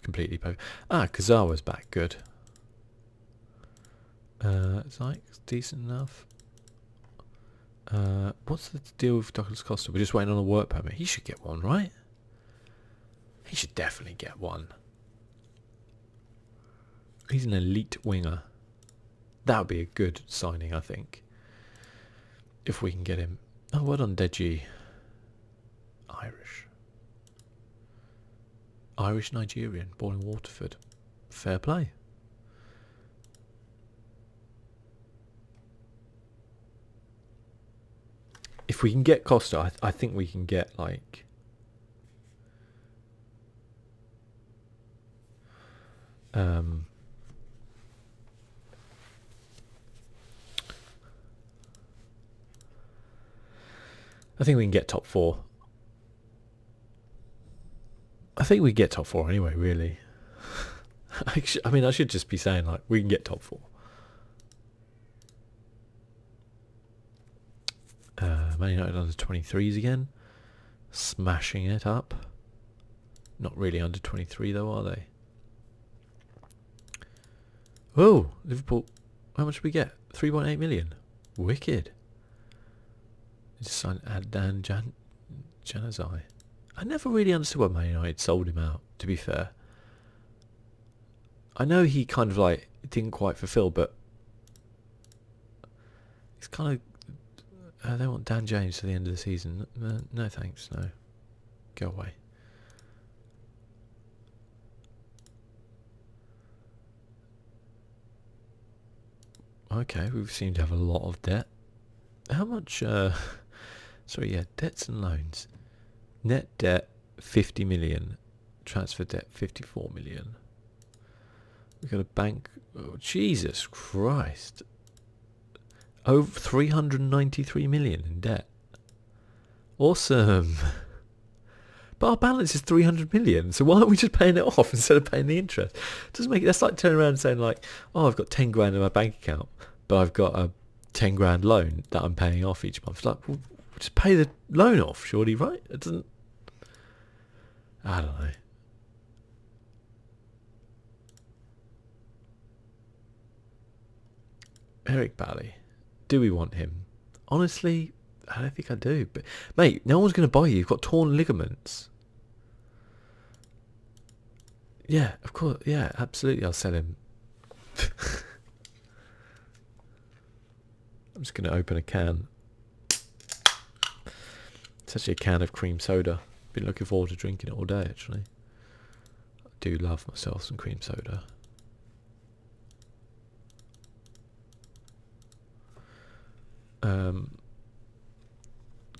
completely pay. Ah, Kazawa's back. Good. Uh, it's decent enough. Uh, what's the deal with Douglas Costa? We're just waiting on a work permit. He should get one, right? He should definitely get one. He's an elite winger. That would be a good signing, I think. If we can get him. Oh, well on Deji. Irish. Irish Nigerian, born in Waterford. Fair play. If we can get Costa, I think we can get like um, I think we can get top four. I think we get top four anyway, really. I mean, I should just be saying, like, we can get top four. Uh, Man United under 23s again. Smashing it up. Not really under 23 though, are they? Oh, Liverpool. How much did we get? 3.8 million. Wicked. just signed Adnan Jan Janazai. I never really understood why Man United sold him out, to be fair. I know he kind of like didn't quite fulfill, but he's kind of uh, they want Dan James to the end of the season. no thanks, no, go away. Okay, we seem to have a lot of debt. How much? Uh, sorry, yeah, debts and loans. Net debt 50 million. Transfer debt 54 million. We got a bank. Oh, Jesus Christ. Over 393 million in debt. Awesome. But our balance is 300 million. So why aren't we just paying it off instead of paying the interest? It doesn't make it. That's like turning around and saying like, oh, I've got 10 grand in my bank account, but I've got a 10 grand loan that I'm paying off each month. It's like, just pay the loan off, surely, right? It doesn't... I don't know. Eric Bally. Do we want him? Honestly, I don't think I do. But Mate, no one's going to buy you. You've got torn ligaments. Yeah, of course. Yeah, absolutely. I'll sell him. I'm just going to open a can. It's actually a can of cream soda. Been looking forward to drinking it all day, actually. I do love myself some cream soda. Um,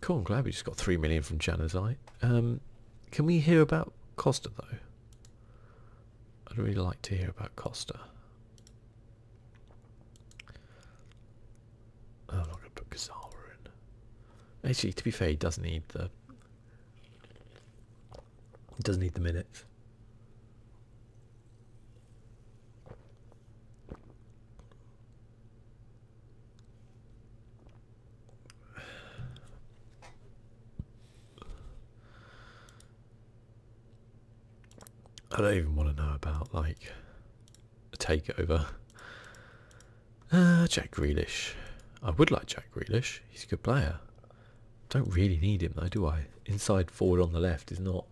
cool, i glad we just got 3 million from Janazai. Um, can we hear about Costa, though? I'd really like to hear about Costa. Oh, I'm not going to put Kazawa in. Actually, to be fair, he does not need the. He does need the minutes. I don't even want to know about like a takeover. Uh, Jack Grealish. I would like Jack Grealish. He's a good player. Don't really need him though, do I? Inside forward on the left is not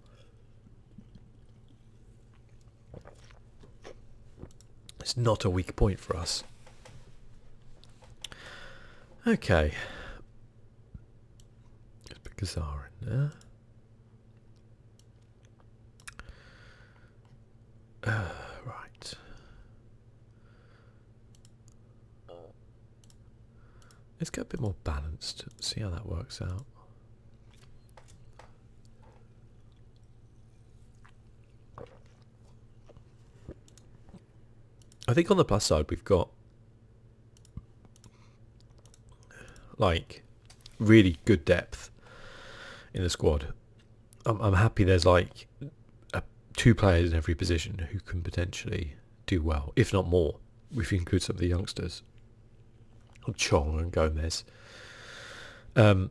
It's not a weak point for us. Okay. Let's put Kazar in there. right. Let's get a bit more balanced, see how that works out. I think on the plus side we've got like, really good depth in the squad. I'm, happy there's like two players in every position who can potentially do well, if not more, if you include some of the youngsters. Chong and Gomez. Um,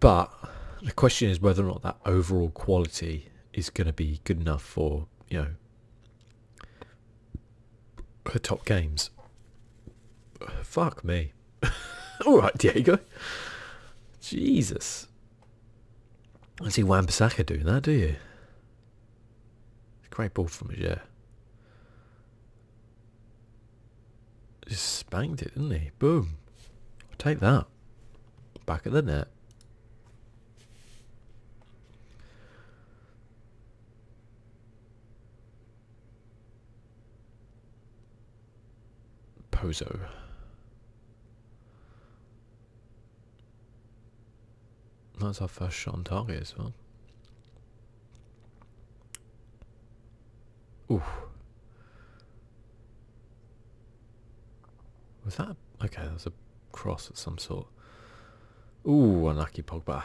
but the question is whether or not that overall quality is going to be good enough for, you know, her top games. Fuck me. Alright, Diego. Jesus. I see Wan doing that, do you? It's a Great ball from Major. Just spanked it, didn't he? Boom. take that. Back at the net. Pozo. That's our first shot on target as well. Ooh. Was that? Okay, that was a cross of some sort. Ooh, unlucky Pogba.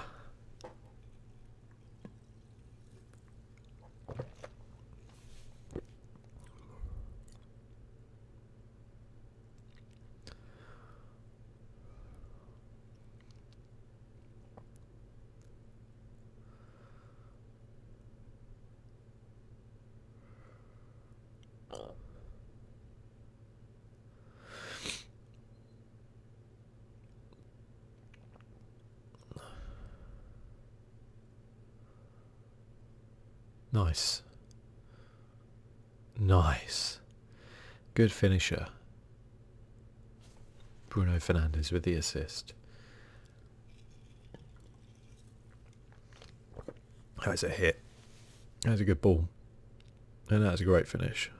Nice. Nice. Good finisher. Bruno Fernandes with the assist. That was a hit. That was a good ball. And that was a great finish.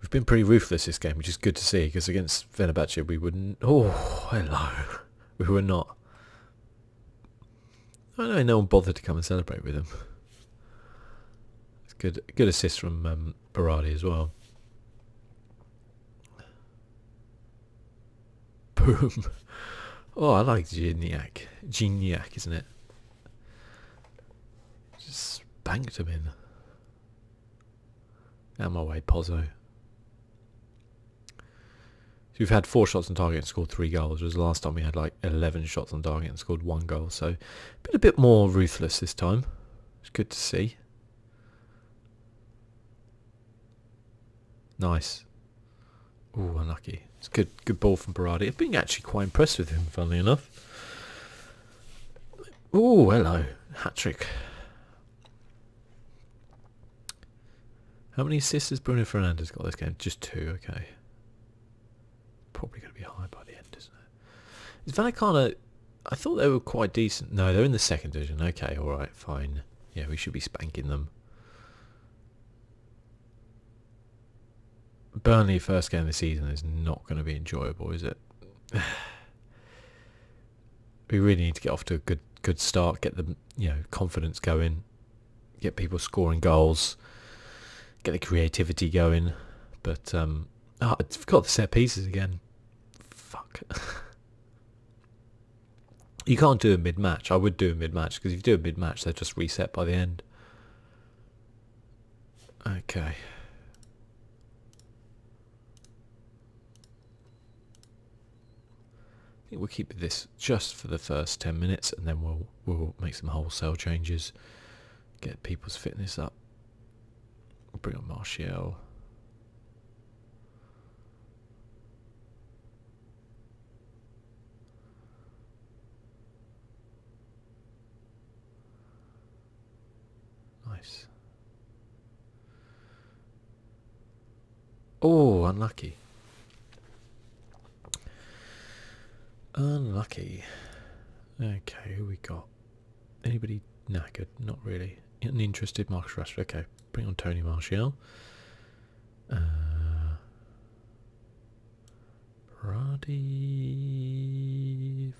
We've been pretty ruthless this game, which is good to see, because against Venabachi, we wouldn't... Oh, hello. We were not. I know no one bothered to come and celebrate with him. good, good assist from um, as well. Boom. Oh, I like Gignac. Gignac, isn't it? Just spanked him in. Out my way, Pozzo. So we've had four shots on target and scored three goals, Was the last time we had like 11 shots on target and scored one goal. So a been a bit more ruthless this time. It's good to see. Nice. Oh, unlucky. It's good good ball from Berardi. I've been actually quite impressed with him, funnily enough. Oh, hello. Hat trick. How many assists has Bruno Fernandez got this game? Just two, okay. Probably going to be high by the end, isn't it? Is it? Vallecano... I thought they were quite decent. No, they're in the second division. Okay, all right, fine. Yeah, we should be spanking them. Burnley first game of the season is not going to be enjoyable, is it? we really need to get off to a good good start, get the you know confidence going, get people scoring goals, get the creativity going. But um, ah, I've got the set pieces again. Fuck. You can't do a mid-match. I would do a mid-match because if you do a mid-match, they're just reset by the end. Okay. we'll keep this just for the first 10 minutes and then we'll we'll make some wholesale changes. Get people's fitness up. We'll bring on Martial. Nice. Oh, unlucky. Unlucky. Okay, who we got? Anybody knackered? Not really. An interested Marcus Rashford. Okay, bring on Tony Martial. Uh,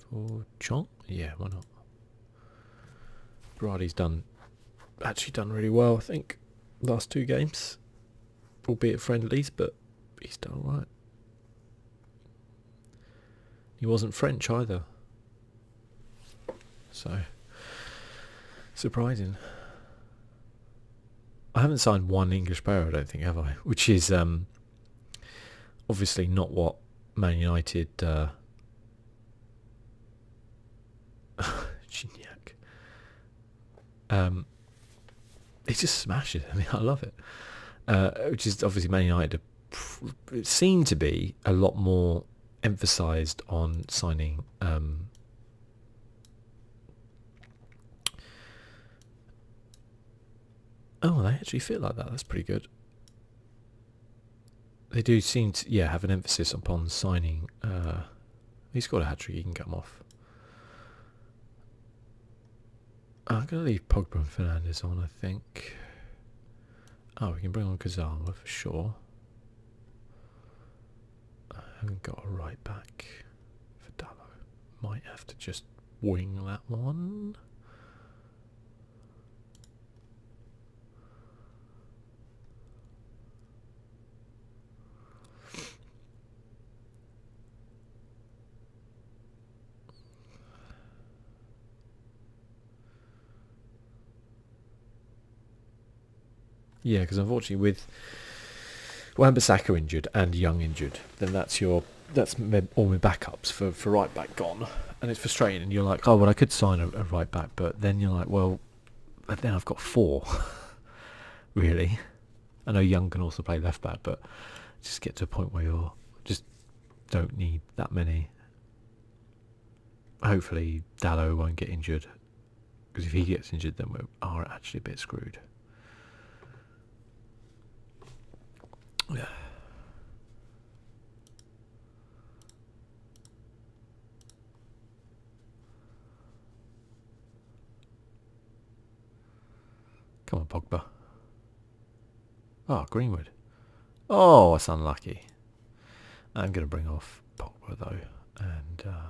for Chong? Yeah, why not? Brady's done actually done really well, I think, last two games. Albeit friendlies, but he's done alright. He wasn't French either. So surprising. I haven't signed one English player, I don't think, have I? Which is um, obviously not what Man United. Uh, Gignac. Um, he just smashes. I mean, I love it. Uh, which is obviously Man United seem to be a lot more emphasised on signing um, Oh, they actually fit like that. That's pretty good. They do seem to, yeah, have an emphasis upon signing. he's got a hat trick. He can come off. Uh, I'm going to leave Pogba and Fernandes on, I think. Oh, we can bring on Kazama for sure. I haven't got a right back for Dallow. Might have to just wing that one. Yeah, because unfortunately, with Wambasaka injured and Young injured, then that's your that's all my backups for for right back gone, and it's frustrating. And you're like, oh well, I could sign a, right back, but then you're like, well, then I've got four, really. I know Young can also play left back, but just get to a point where you're just don't need that many. Hopefully, Dalo won't get injured because if he gets injured, then we are actually a bit screwed. Come on, Pogba. Oh, Greenwood. Oh, that's unlucky. I'm going to bring off Pogba, though, and uh,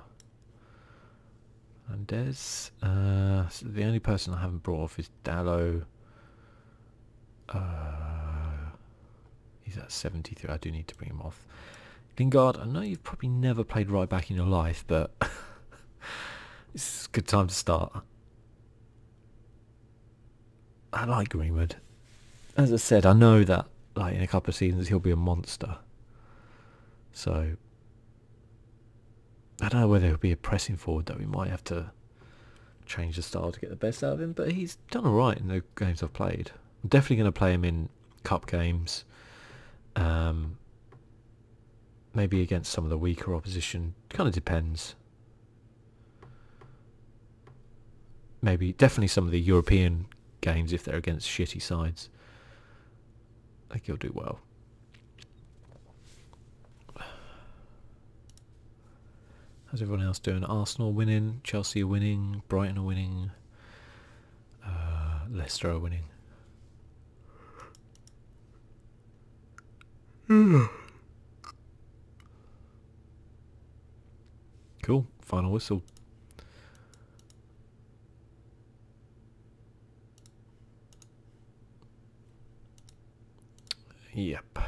Hernandez. Uh, the only person I haven't brought off is Dallo. Uh, he's at 73. I do need to bring him off. Lingard, I know you've probably never played right back in your life, but it's a good time to start. I like Greenwood. As I said, I know that like in a couple of seasons he'll be a monster. So I don't know whether he'll be a pressing forward that We might have to change the style to get the best out of him, but he's done all right in the games I've played. I'm definitely going to play him in cup games, um, maybe against some of the weaker opposition. Kind of depends. Maybe definitely some of the European games if they're against shitty sides. I think you will do well. How's everyone else doing? Arsenal winning, Chelsea winning, Brighton are winning, uh, Leicester are winning. cool, final whistle. Yep.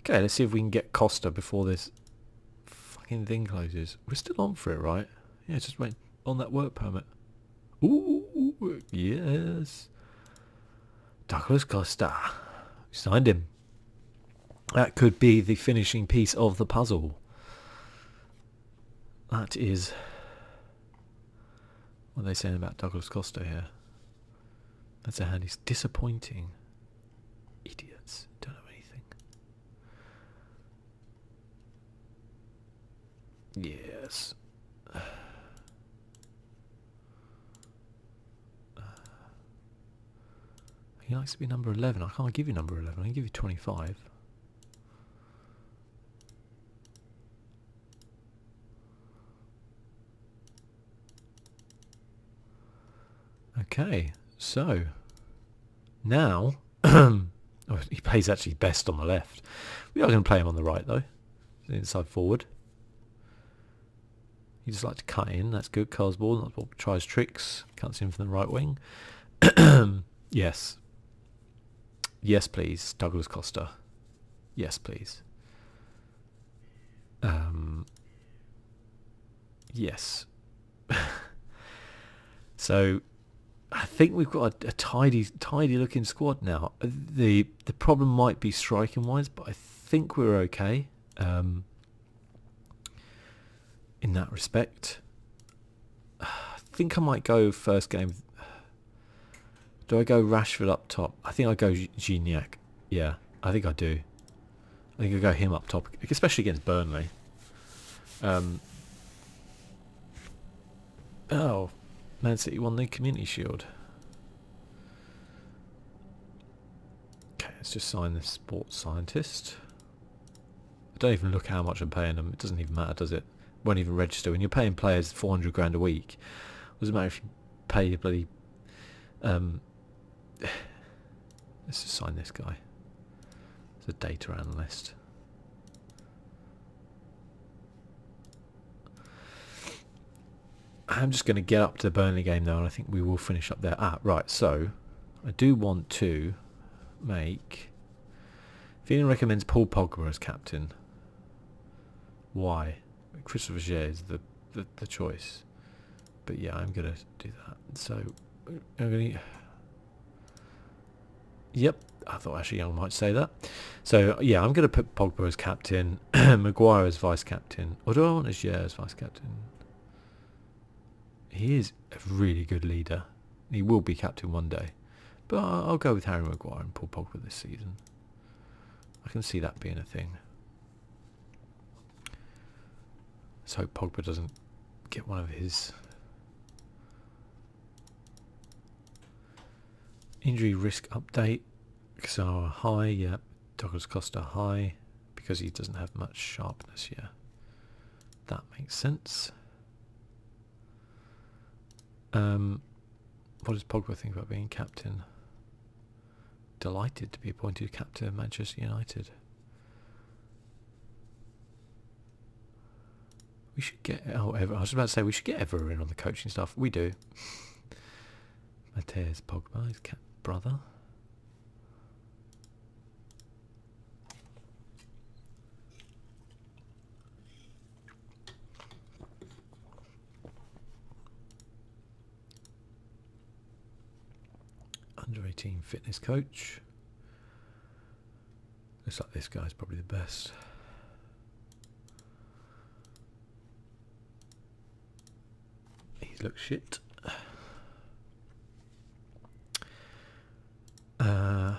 Okay, let's see if we can get Costa before this fucking thing closes. We're still on for it, right? Yeah, just went on that work permit. Ooh, yes. Douglas Costa. signed him. That could be the finishing piece of the puzzle. That is what are they saying about Douglas Costa here? That's a hand. He's disappointing. Idiots. Don't know anything. Yes. he likes to be number 11. I can't give you number 11. I can give you 25. Okay, so now, oh, he plays actually best on the left. We are going to play him on the right though, inside forward. He just likes to cut in, that's good. Carl's ball, that's what tries tricks, cuts in from the right wing. Yes. Yes, please. Douglas Costa. Yes, please. Um, yes. so I think we've got a, tidy, tidy looking squad now. The the problem might be striking wise, but I think we're okay um, in that respect. I think I might go first game. Do I go Rashford up top? I think I go Gignac. Yeah, I think I do. I think I go him up top, especially against Burnley. Um, oh, Man City won the Community Shield. Okay, let's just sign this sports scientist. I don't even look how much I'm paying them. It doesn't even matter, does it? Won't even register. When you're paying players 400 grand a week, it doesn't matter if you pay your bloody... Um, let's just sign this guy. It's a data analyst. I'm just going to get up to the Burnley game now and I think we will finish up there. Ah, right, so I do want to make Feeling recommends Paul Pogba as captain. Why? Christopher Gea is the, the, choice. But yeah, I'm going to do that. So, I'm going to... Yep, I thought Ashley Young might say that. So yeah, I'm going to put Pogba as captain, Maguire as vice captain, or as I as vice captain? He is a really good leader. He will be captain one day. But I'll go with Harry Maguire and Paul Pogba this season. I can see that being a thing. Let's hope Pogba doesn't get one of his injury risk update. Kazawa high, yeah. Douglas Costa high because he doesn't have much sharpness, yet. That makes sense. Um, what does Pogba think about being captain? Delighted to be appointed captain of Manchester United. We should get oh I was about to say we should get Ever in on the coaching stuff. We do. Mateus Pogba, his brother. Under 18 fitness coach. Looks like this guy is probably the best. He looks shit. Uh,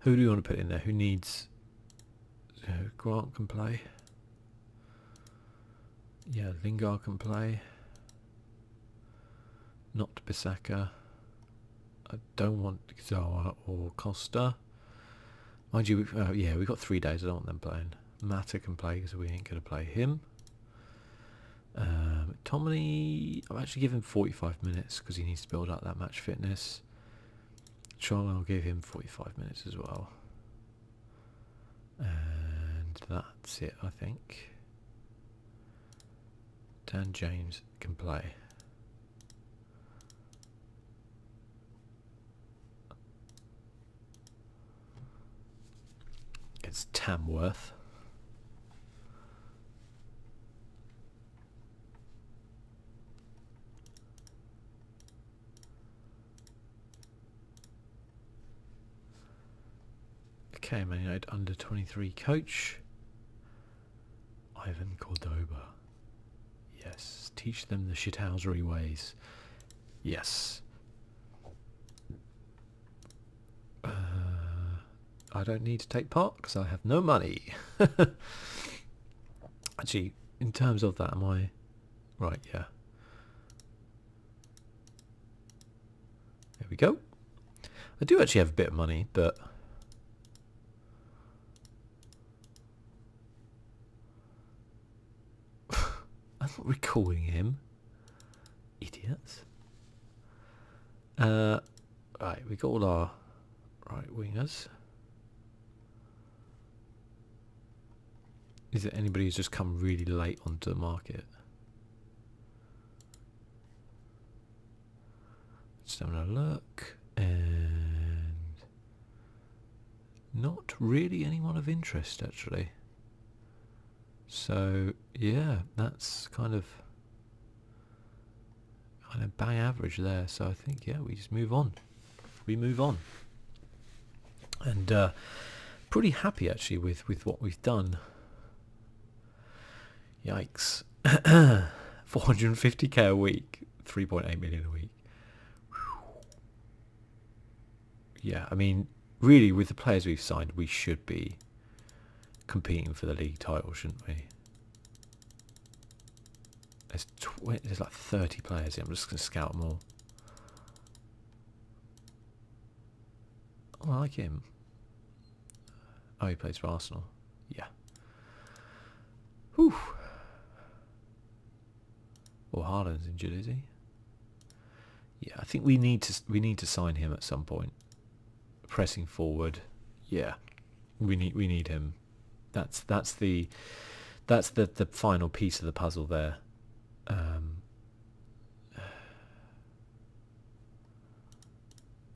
who do we want to put in there? Who needs... Grant can play. Yeah, Lingard can play. Not Bissaka. I don't want Zawa or Costa. Mind you, uh, yeah, we've got three days. I don't want them playing. Mata can play because we ain't going to play him. Um, Tommy, i am actually giving 45 minutes because he needs to build up that match fitness. Charlton, I'll give him 45 minutes as well. And that's it, I think. Dan James can play. It's Tamworth. Okay, Man United under 23 coach Ivan Cordoba. Yes, teach them the shithousery ways. Yes. Uh, I don't need to take part because I have no money. Actually, in terms of that, am I... Right, yeah. There we go. I do actually have a bit of money, but... I'm not recalling him. Idiots. Uh, Right, we got all our right wingers. Is there anybody who's just come really late onto the market? Just having a look and not really anyone of interest actually. So yeah, that's kind of kind of bang average there. So I think yeah, we just move on. We move on. And uh, pretty happy actually with with what we've done. Yikes. 450k a week, 3.8 million a week. Yeah, I mean, really, with the players we've signed, we should be competing for the league title, shouldn't we? There's, like 30 players here. I'm just going to scout more. Oh, I like him. Oh, he plays for Arsenal. Yeah. Whew. Well, oh, Harlan's in is Yeah, I think we need to we need to sign him at some point pressing forward. Yeah, we need we need him. That's that's the that's the the final piece of the puzzle there. Um,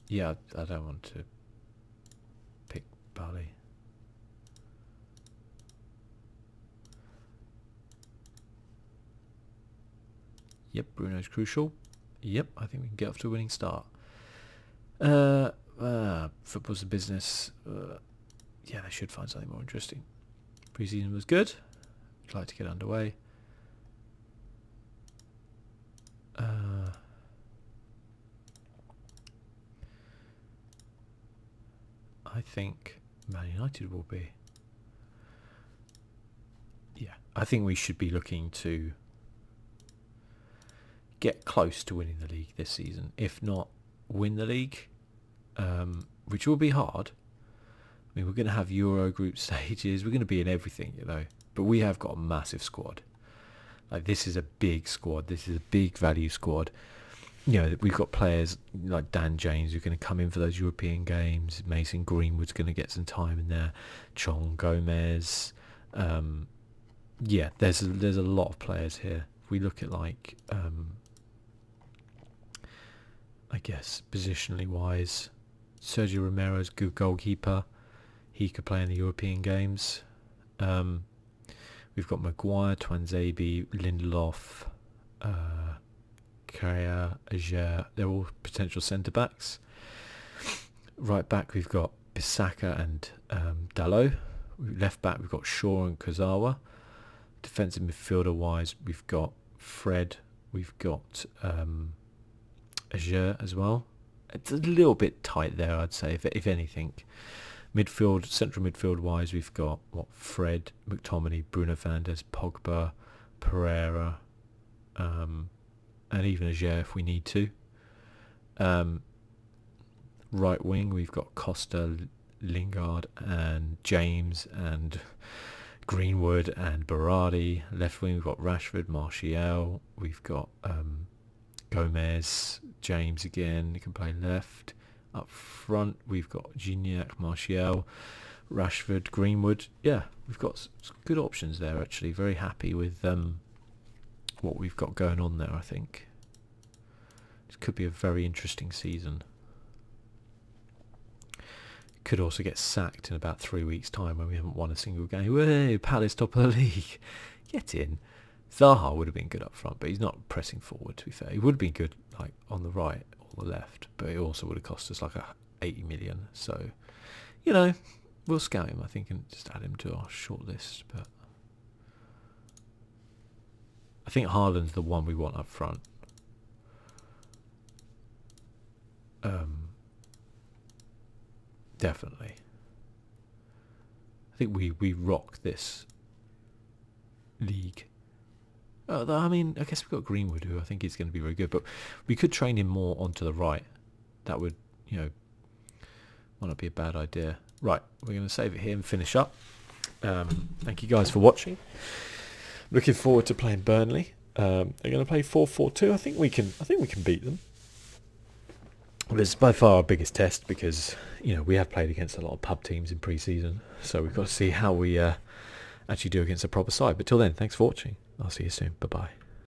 yeah, I don't want to pick Bali. Yep, Bruno's crucial. Yep, I think we can get off to a winning start. Uh, uh, football's a business. Uh, yeah, they should find something more interesting. Preseason was good. I'd like to get underway. I think Man United will be yeah, I think we should be looking to get close to winning the league this season. If not win the league, um, which will be hard. I mean, we're going to have Euro group stages. We're going to be in everything, you know. But we have got a massive squad. Like this is a big squad. This is a big value squad. You know, we've got players like Dan James who are going to come in for those European games. Mason Greenwood's going to get some time in there. Chong Gomez, um, yeah, there's a, there's a lot of players here. we look at like, um, I guess positionally wise, Sergio Romero's good goalkeeper. He could play in the European games. Um, we've got Maguire, Twanzabi, Lindelof, Kaya, uh, Carrier, They're all potential centre backs. Right back, we've got Bissaka and um, Dallo. Left back, we've got Shaw and Kozawa. Defensive midfielder wise, we've got Fred. We've got um, Azure as well. It's a little bit tight there, I'd say, if, if anything. Midfield, central midfield wise, we've got what Fred, McTominay, Bruno Fernandes, Pogba, Pereira, um, and even Ager if we need to. Um, right wing, we've got Costa, Lingard, and James, and Greenwood, and Berardi. Left wing, we've got Rashford, Martial. We've got um, Gomez, James again. You can play left. Up front, we've got Gignac, Martial, Rashford, Greenwood. Yeah, we've got good options there, actually. Very happy with them what we've got going on there, I think. This could be a very interesting season. Could also get sacked in about three weeks' time when we haven't won a single game. Whoa, Palace top of the league. Get in. Zaha would have been good up front, but he's not pressing forward, to be fair. He would have been good like on the right or the left, but it also would have cost us like a 80 million. So, you know, We'll scout him, I think, and just add him to our shortlist. But I think Harlan's the one we want up front. Um, definitely. I think we we rock this league. Uh, I mean, I guess we've got Greenwood, who I think is going to be very good, but we could train him more onto the right. That would, you know, might not be a bad idea. Right, we're going to save it here and finish up. Um, thank you guys for watching. Looking forward to playing Burnley. Um, they're going to play 4-4-2. I think we can. I think we can beat them. it's by far our biggest test because you know we have played against a lot of pub teams in pre-season, so we've got to see how we uh, actually do against a proper side. But till then, thanks for watching. I'll see you soon. Bye bye.